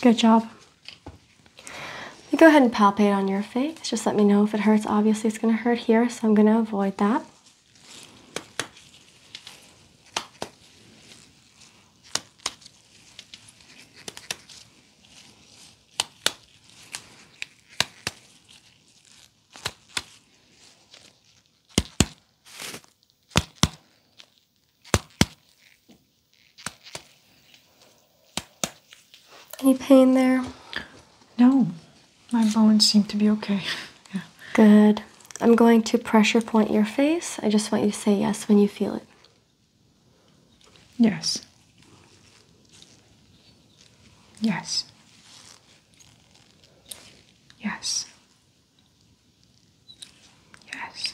Good job. You go ahead and palpate on your face. Just let me know if it hurts. Obviously, it's going to hurt here, so I'm going to avoid that. Any pain there? No. My bones seem to be okay. yeah. Good. I'm going to pressure point your face. I just want you to say yes when you feel it. Yes. Yes. Yes. Yes.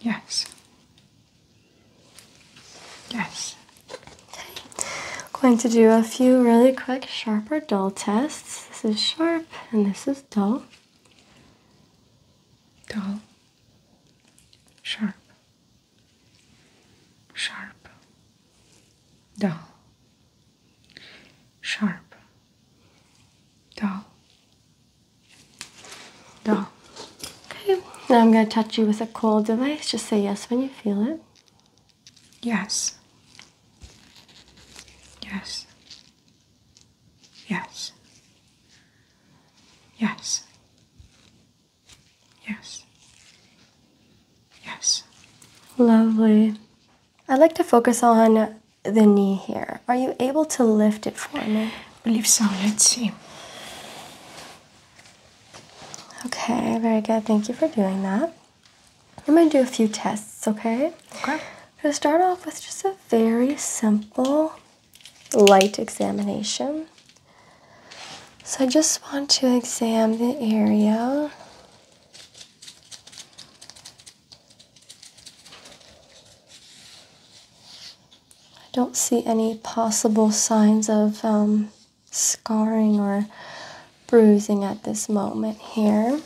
Yes. Yes. Going to do a few really quick sharp or dull tests. This is sharp and this is dull. Dull. Sharp. Sharp. Dull sharp, dull, dull. Okay, now I'm going to touch you with a cold device. Just say yes when you feel it. Yes. Yes. Yes. Yes. Yes. Yes. Lovely. I'd like to focus on the knee here. Are you able to lift it for me? I believe so. Let's see. Okay, very good. Thank you for doing that. I'm going to do a few tests, okay? Okay. I'm going to start off with just a very simple light examination. So I just want to examine the area I don't see any possible signs of um, scarring or bruising at this moment here.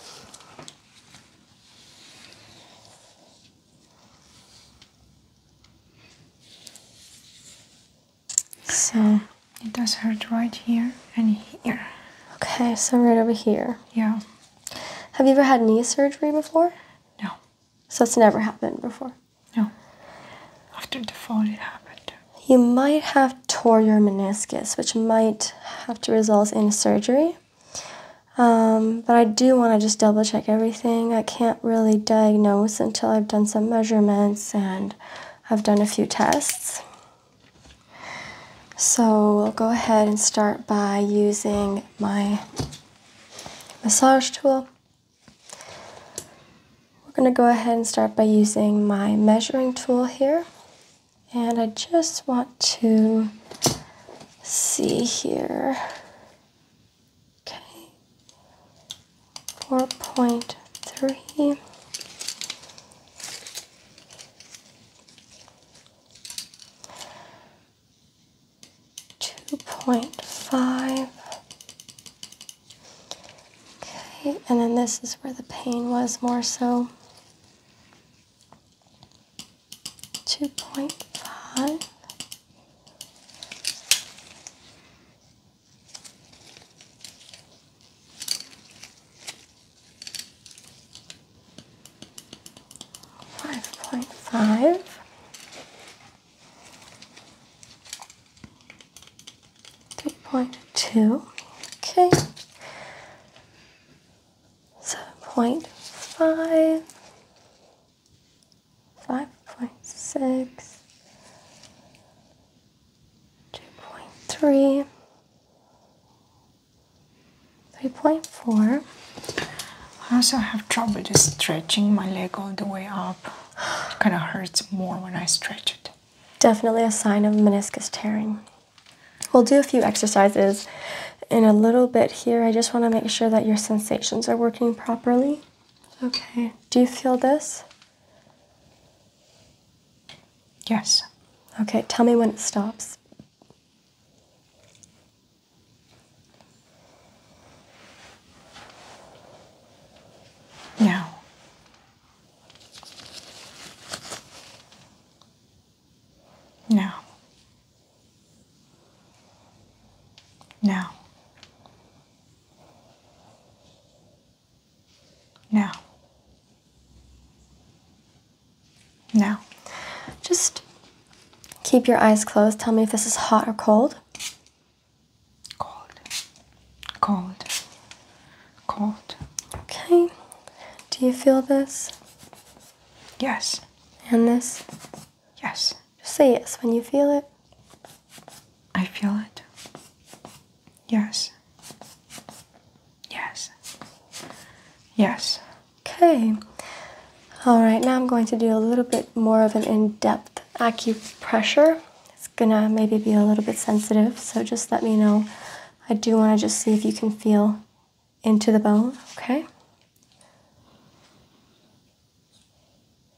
So it does hurt right here and here. Okay, so right over here. Yeah. Have you ever had knee surgery before? No. So it's never happened before? No. After the fall, it happened. You might have tore your meniscus, which might have to result in surgery. Um, but I do want to just double check everything. I can't really diagnose until I've done some measurements and I've done a few tests. So we will go ahead and start by using my massage tool. We're going to go ahead and start by using my measuring tool here. And I just want to see here. Okay. 4.3 two point five. Okay, and then this is where the pain was more so. 2.5 Five point five. Three point two. Okay. Seven point five. Five point six. Two point three. 3.4. I also have trouble just stretching my leg all the way up. It kind of hurts more when I stretch it. Definitely a sign of meniscus tearing. We'll do a few exercises in a little bit here. I just want to make sure that your sensations are working properly. Okay. Do you feel this? Yes. Okay, tell me when it stops. Now, now, now, now. Now, just keep your eyes closed. Tell me if this is hot or cold. Cold. Cold. Cold. Okay. Do you feel this? Yes. And this? Yes. say yes when you feel it. I feel it. Yes. Yes. Yes. Okay. All right, now I'm going to do a little bit more of an in-depth acupressure. It's gonna maybe be a little bit sensitive, so just let me know. I do want to just see if you can feel into the bone, okay?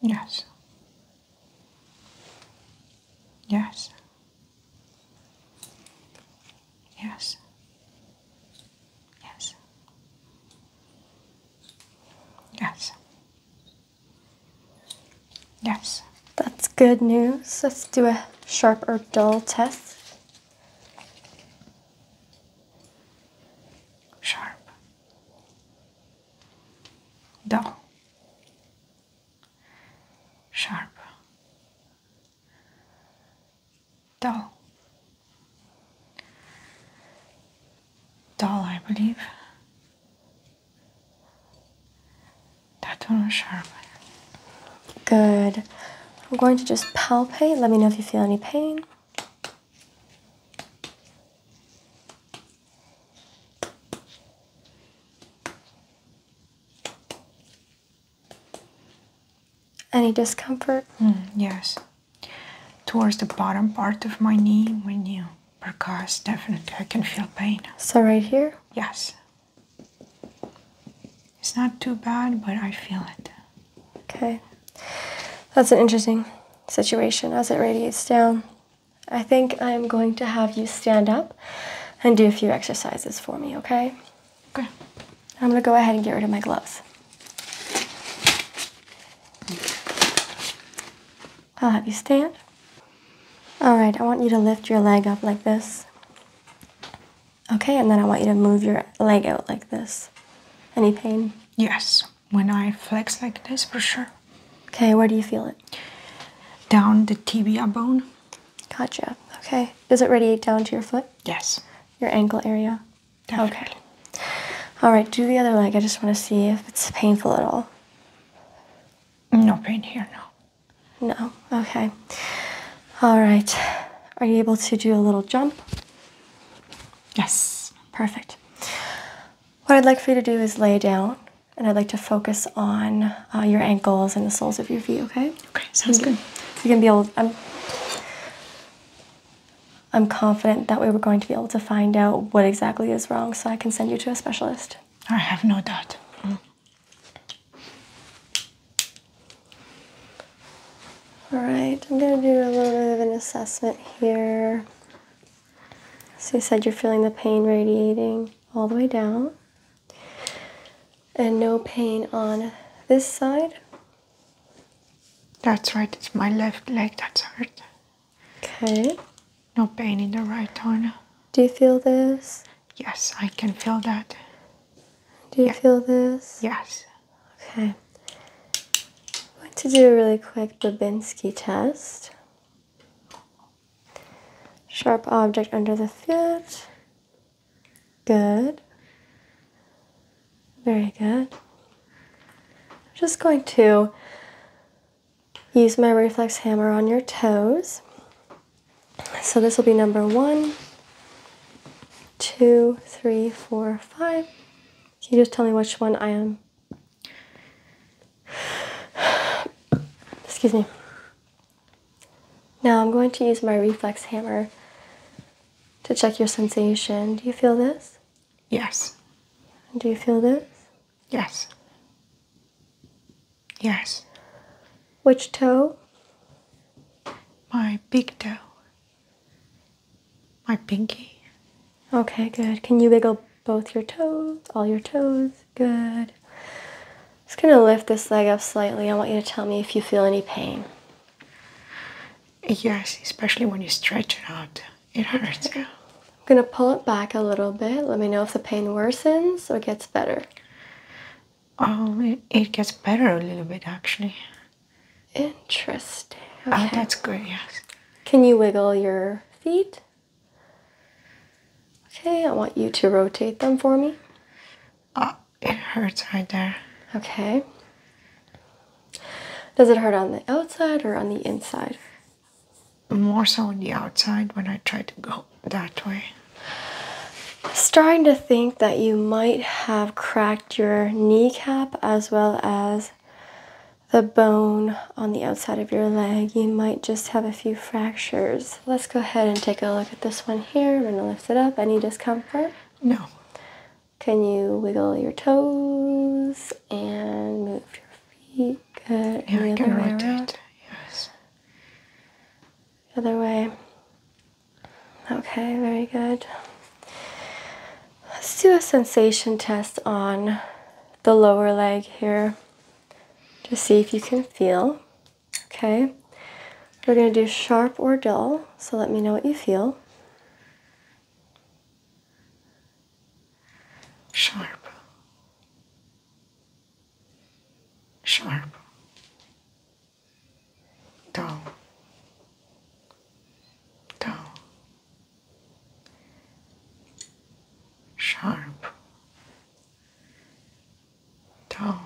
Yes. Yes. Yes. Yes. Yes. Yes. That's good news. Let's do a sharp or dull test. Sharp. Dull. Sharp. Dull. Dull, I believe. That one was sharp. Good. I'm going to just palpate. Let me know if you feel any pain. Any discomfort? Hmm, yes. Towards the bottom part of my knee when you percuss, definitely I can feel pain. So, right here? Yes. It's not too bad, but I feel it. Okay. That's an interesting situation as it radiates down. I think I'm going to have you stand up and do a few exercises for me, okay? Okay. I'm gonna go ahead and get rid of my gloves. I'll have you stand. All right, I want you to lift your leg up like this. Okay, and then I want you to move your leg out like this. Any pain? Yes, when I flex like this, for sure. Okay, where do you feel it? Down the tibia bone. Gotcha. Okay. Does it radiate down to your foot? Yes. Your ankle area? Okay. All right, do the other leg. I just want to see if it's painful at all. No pain here, no. No, okay. All right. Are you able to do a little jump? Yes. Perfect. What I'd like for you to do is lay down, and I'd like to focus on uh, your ankles and the soles of your feet, okay? Okay, sounds good. you can going to be able, I'm I'm confident that we are going to be able to find out what exactly is wrong so I can send you to a specialist. I have no doubt. All right, I'm gonna do a little bit of an assessment here. So you said you're feeling the pain radiating all the way down and no pain on this side. That's right, it's my left leg that's hurt. Okay. No pain in the right one. Do you feel this? Yes, I can feel that. Do you feel this? Yes. Okay. I'm going to do a really quick Babinski test. Sharp object under the foot. Good. Very good. I'm just going to use my reflex hammer on your toes. So this will be number one, two, three, four, five. Can you just tell me which one I am? Excuse me. Now I'm going to use my reflex hammer to check your sensation. Do you feel this? Yes. Do you feel this? Yes. Yes. Which toe? My big toe. My pinky. Okay, good. Can you wiggle both your toes, all your toes? Good. Just gonna lift this leg up slightly. I want you to tell me if you feel any pain. Yes, especially when you stretch it out, it hurts. I'm gonna pull it back a little bit. Let me know if the pain worsens or gets better. Oh, it, gets better a little bit actually. Interesting. Oh, that's great. yes. Can you wiggle your feet? Okay, I want you to rotate them for me. Oh, it hurts right there. Okay. Does it hurt on the outside or on the inside? More so on the outside when I try to go that way. starting to think that you might have cracked your kneecap as well as the bone on the outside of your leg. You might just have a few fractures. Let's go ahead and take a look at this one here. I'm going to lift it up. Any discomfort? No. Can you wiggle your toes and move your feet? Good. And we can Around. Yes. other way. Okay, very good. Let's do a sensation test on the lower leg here. to see if you can feel. Okay. We're going to do sharp or dull, so let me know what you feel. Sharp. Sharp. Dull. Dull. Sharp. Dull.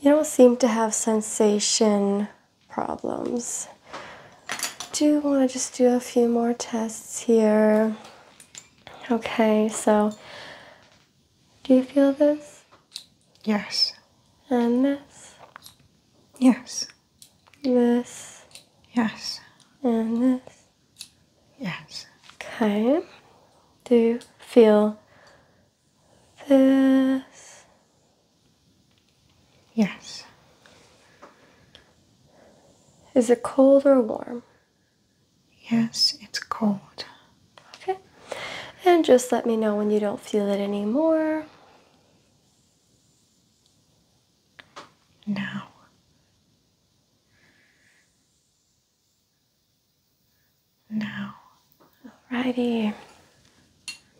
You don't seem to have sensation problems. Do want to just do a few more tests here. Okay, so do you feel this? Yes. And this? Yes. This? Yes. And this? Yes. Okay. Do you feel this. Yes. Is it cold or warm? Yes, it's cold. Okay. And just let me know when you don't feel it anymore. Now. Now. Alrighty.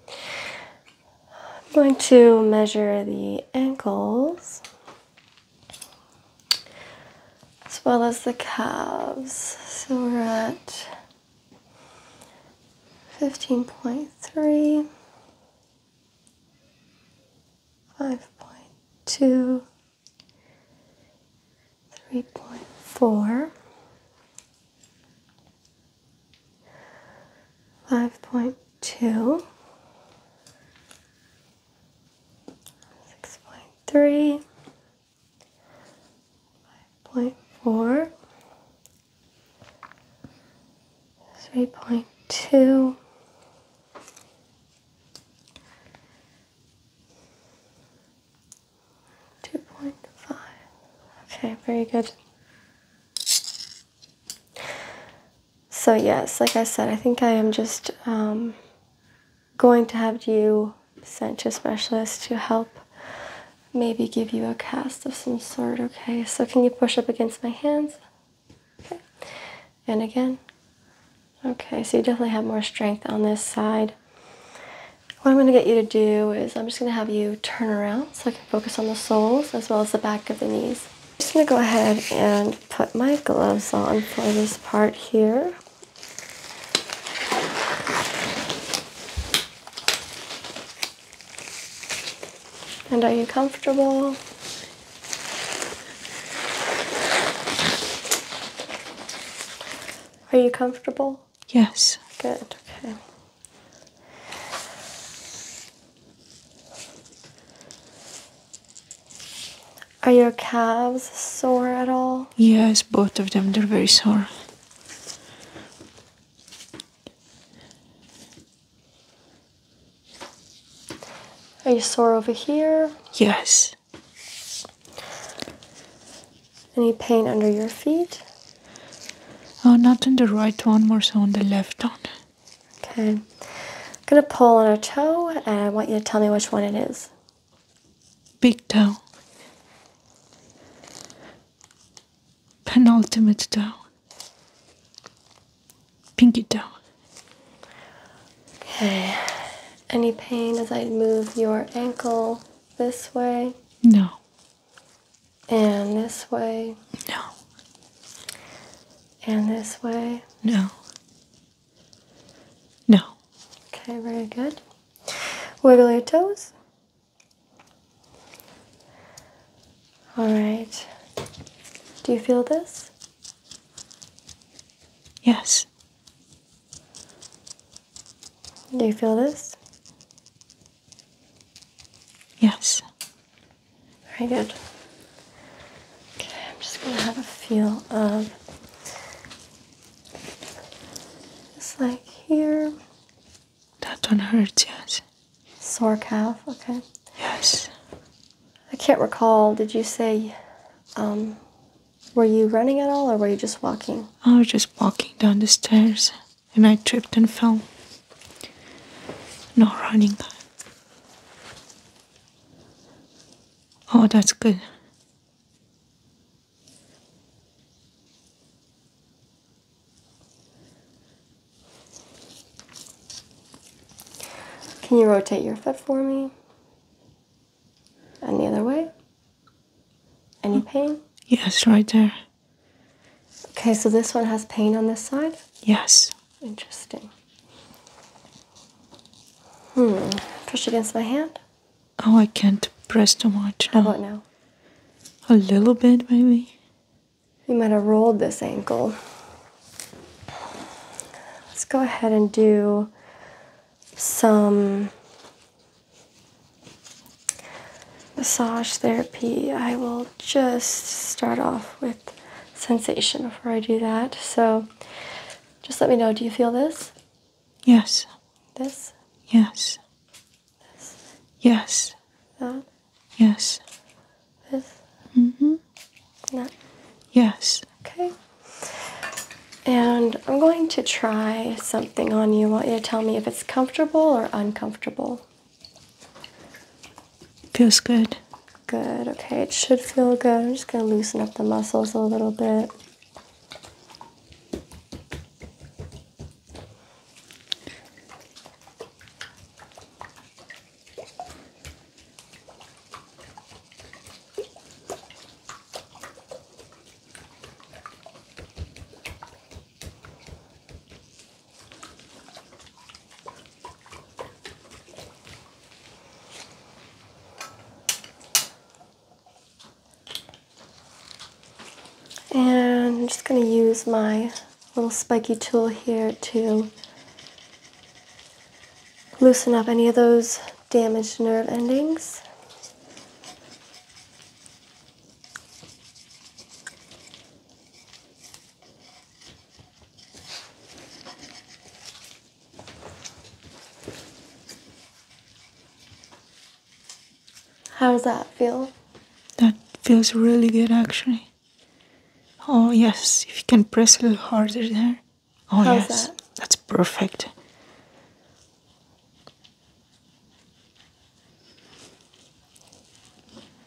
I'm going to measure the ankles as well as the calves. So we're at 15.3, 5.2, 3.4. Five point two, six point three, five point four, three point two. 2.5. Okay, very good. So yes, like I said, I think I am just um, going to have you sent to a specialist to help maybe give you a cast of some sort, okay? So can you push up against my hands? Okay. And again. Okay, so you definitely have more strength on this side. What I'm going to get you to do is I'm just going to have you turn around so I can focus on the soles as well as the back of the knees. I'm just going to go ahead and put my gloves on for this part here. And are you comfortable? Are you comfortable? Yes. Good, okay. Are your calves sore at all? Yes, both of them. They're very sore. Are you sore over here? Yes. Any pain under your feet? Oh, not on the right one, more so on the left one. Okay. I'm going to pull on a toe, and I want you to tell me which one it is. Big toe. Penultimate toe. Pinky toe. Okay. Any pain as I move your ankle this way? No. And this way? No. And this way? No. No. Okay, very good. Wiggle your toes. All right. Do you feel this? Yes. Do you feel this? Yes. Very good. Okay, I'm just going to have a feel of just like here. That one hurts, yes. Sore calf, okay. Yes. I can't recall. Did you say, um, were you running at all or were you just walking? I was just walking down the stairs and I tripped and fell. No running. Oh, that's good. Can you rotate your foot for me? And the other way? Any mm. pain? Yes, right there. Okay, so this one has pain on this side? Yes. Interesting. Hmm. Push against my hand? Oh, I can't press too much now. How about now? A little bit, maybe. You might have rolled this ankle. Let's go ahead and do some massage therapy, I will just start off with sensation before I do that. So just let me know. Do you feel this? Yes. This? Yes. This? Yes. That? Yes. This? Mm-hmm. That? Yes. Okay. And I'm going to try something on you. I want you to tell me if it's comfortable or uncomfortable. Feels good. Good. Okay, it should feel good. I'm just gonna loosen up the muscles a little bit. And I'm just going to use my little spiky tool here to loosen up any of those damaged nerve endings. How does that feel? That feels really good actually. Oh yes, if you can press a little harder there. Oh yes, that's perfect.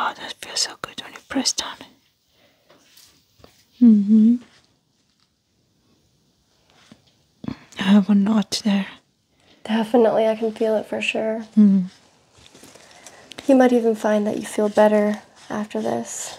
Oh, that feels so good when you press down. hmm I have a knot there. Definitely, I can feel it for sure. Mm. You might even find that you feel better after this.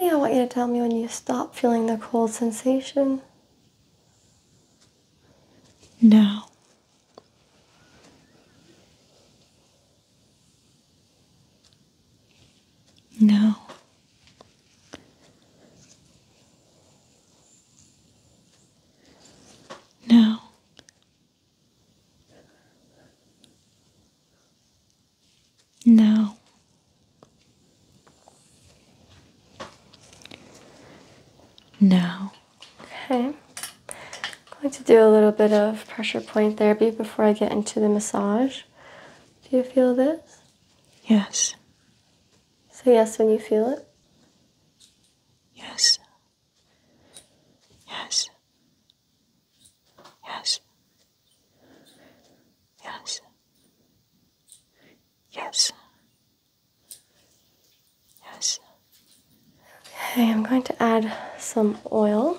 Okay, I want you to tell me when you stop feeling the cold sensation. Now. No. No. No. No. Okay. I'm going to do a little bit of pressure point therapy before I get into the massage. Do you feel this? Yes. Say yes when you feel it. Yes. Yes. Yes. Yes. Yes. Yes. Okay, I'm going to add some oil.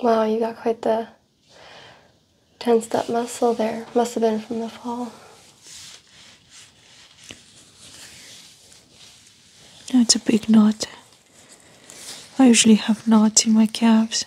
Wow, you got quite the tensed up muscle there. Must have been from the fall. That's a big knot. I usually have knots in my calves.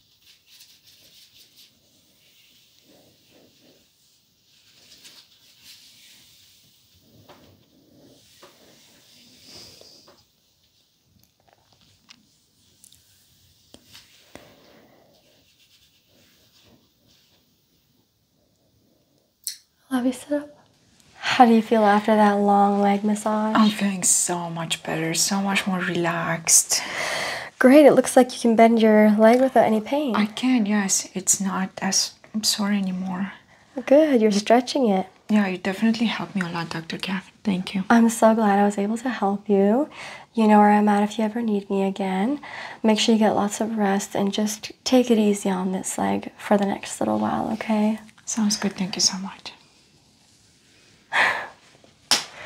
I Love you, sit up. How do you feel after that long leg massage? I'm feeling so much better, so much more relaxed. Great, it looks like you can bend your leg without any pain. I can, yes. It's not as sore anymore. Good, you're stretching it. Yeah, you definitely helped me a lot, Dr. Kath. Thank you. I'm so glad I was able to help you. You know where I'm at if you ever need me again. Make sure you get lots of rest and just take it easy on this leg for the next little while, okay? Sounds good. Thank you so much.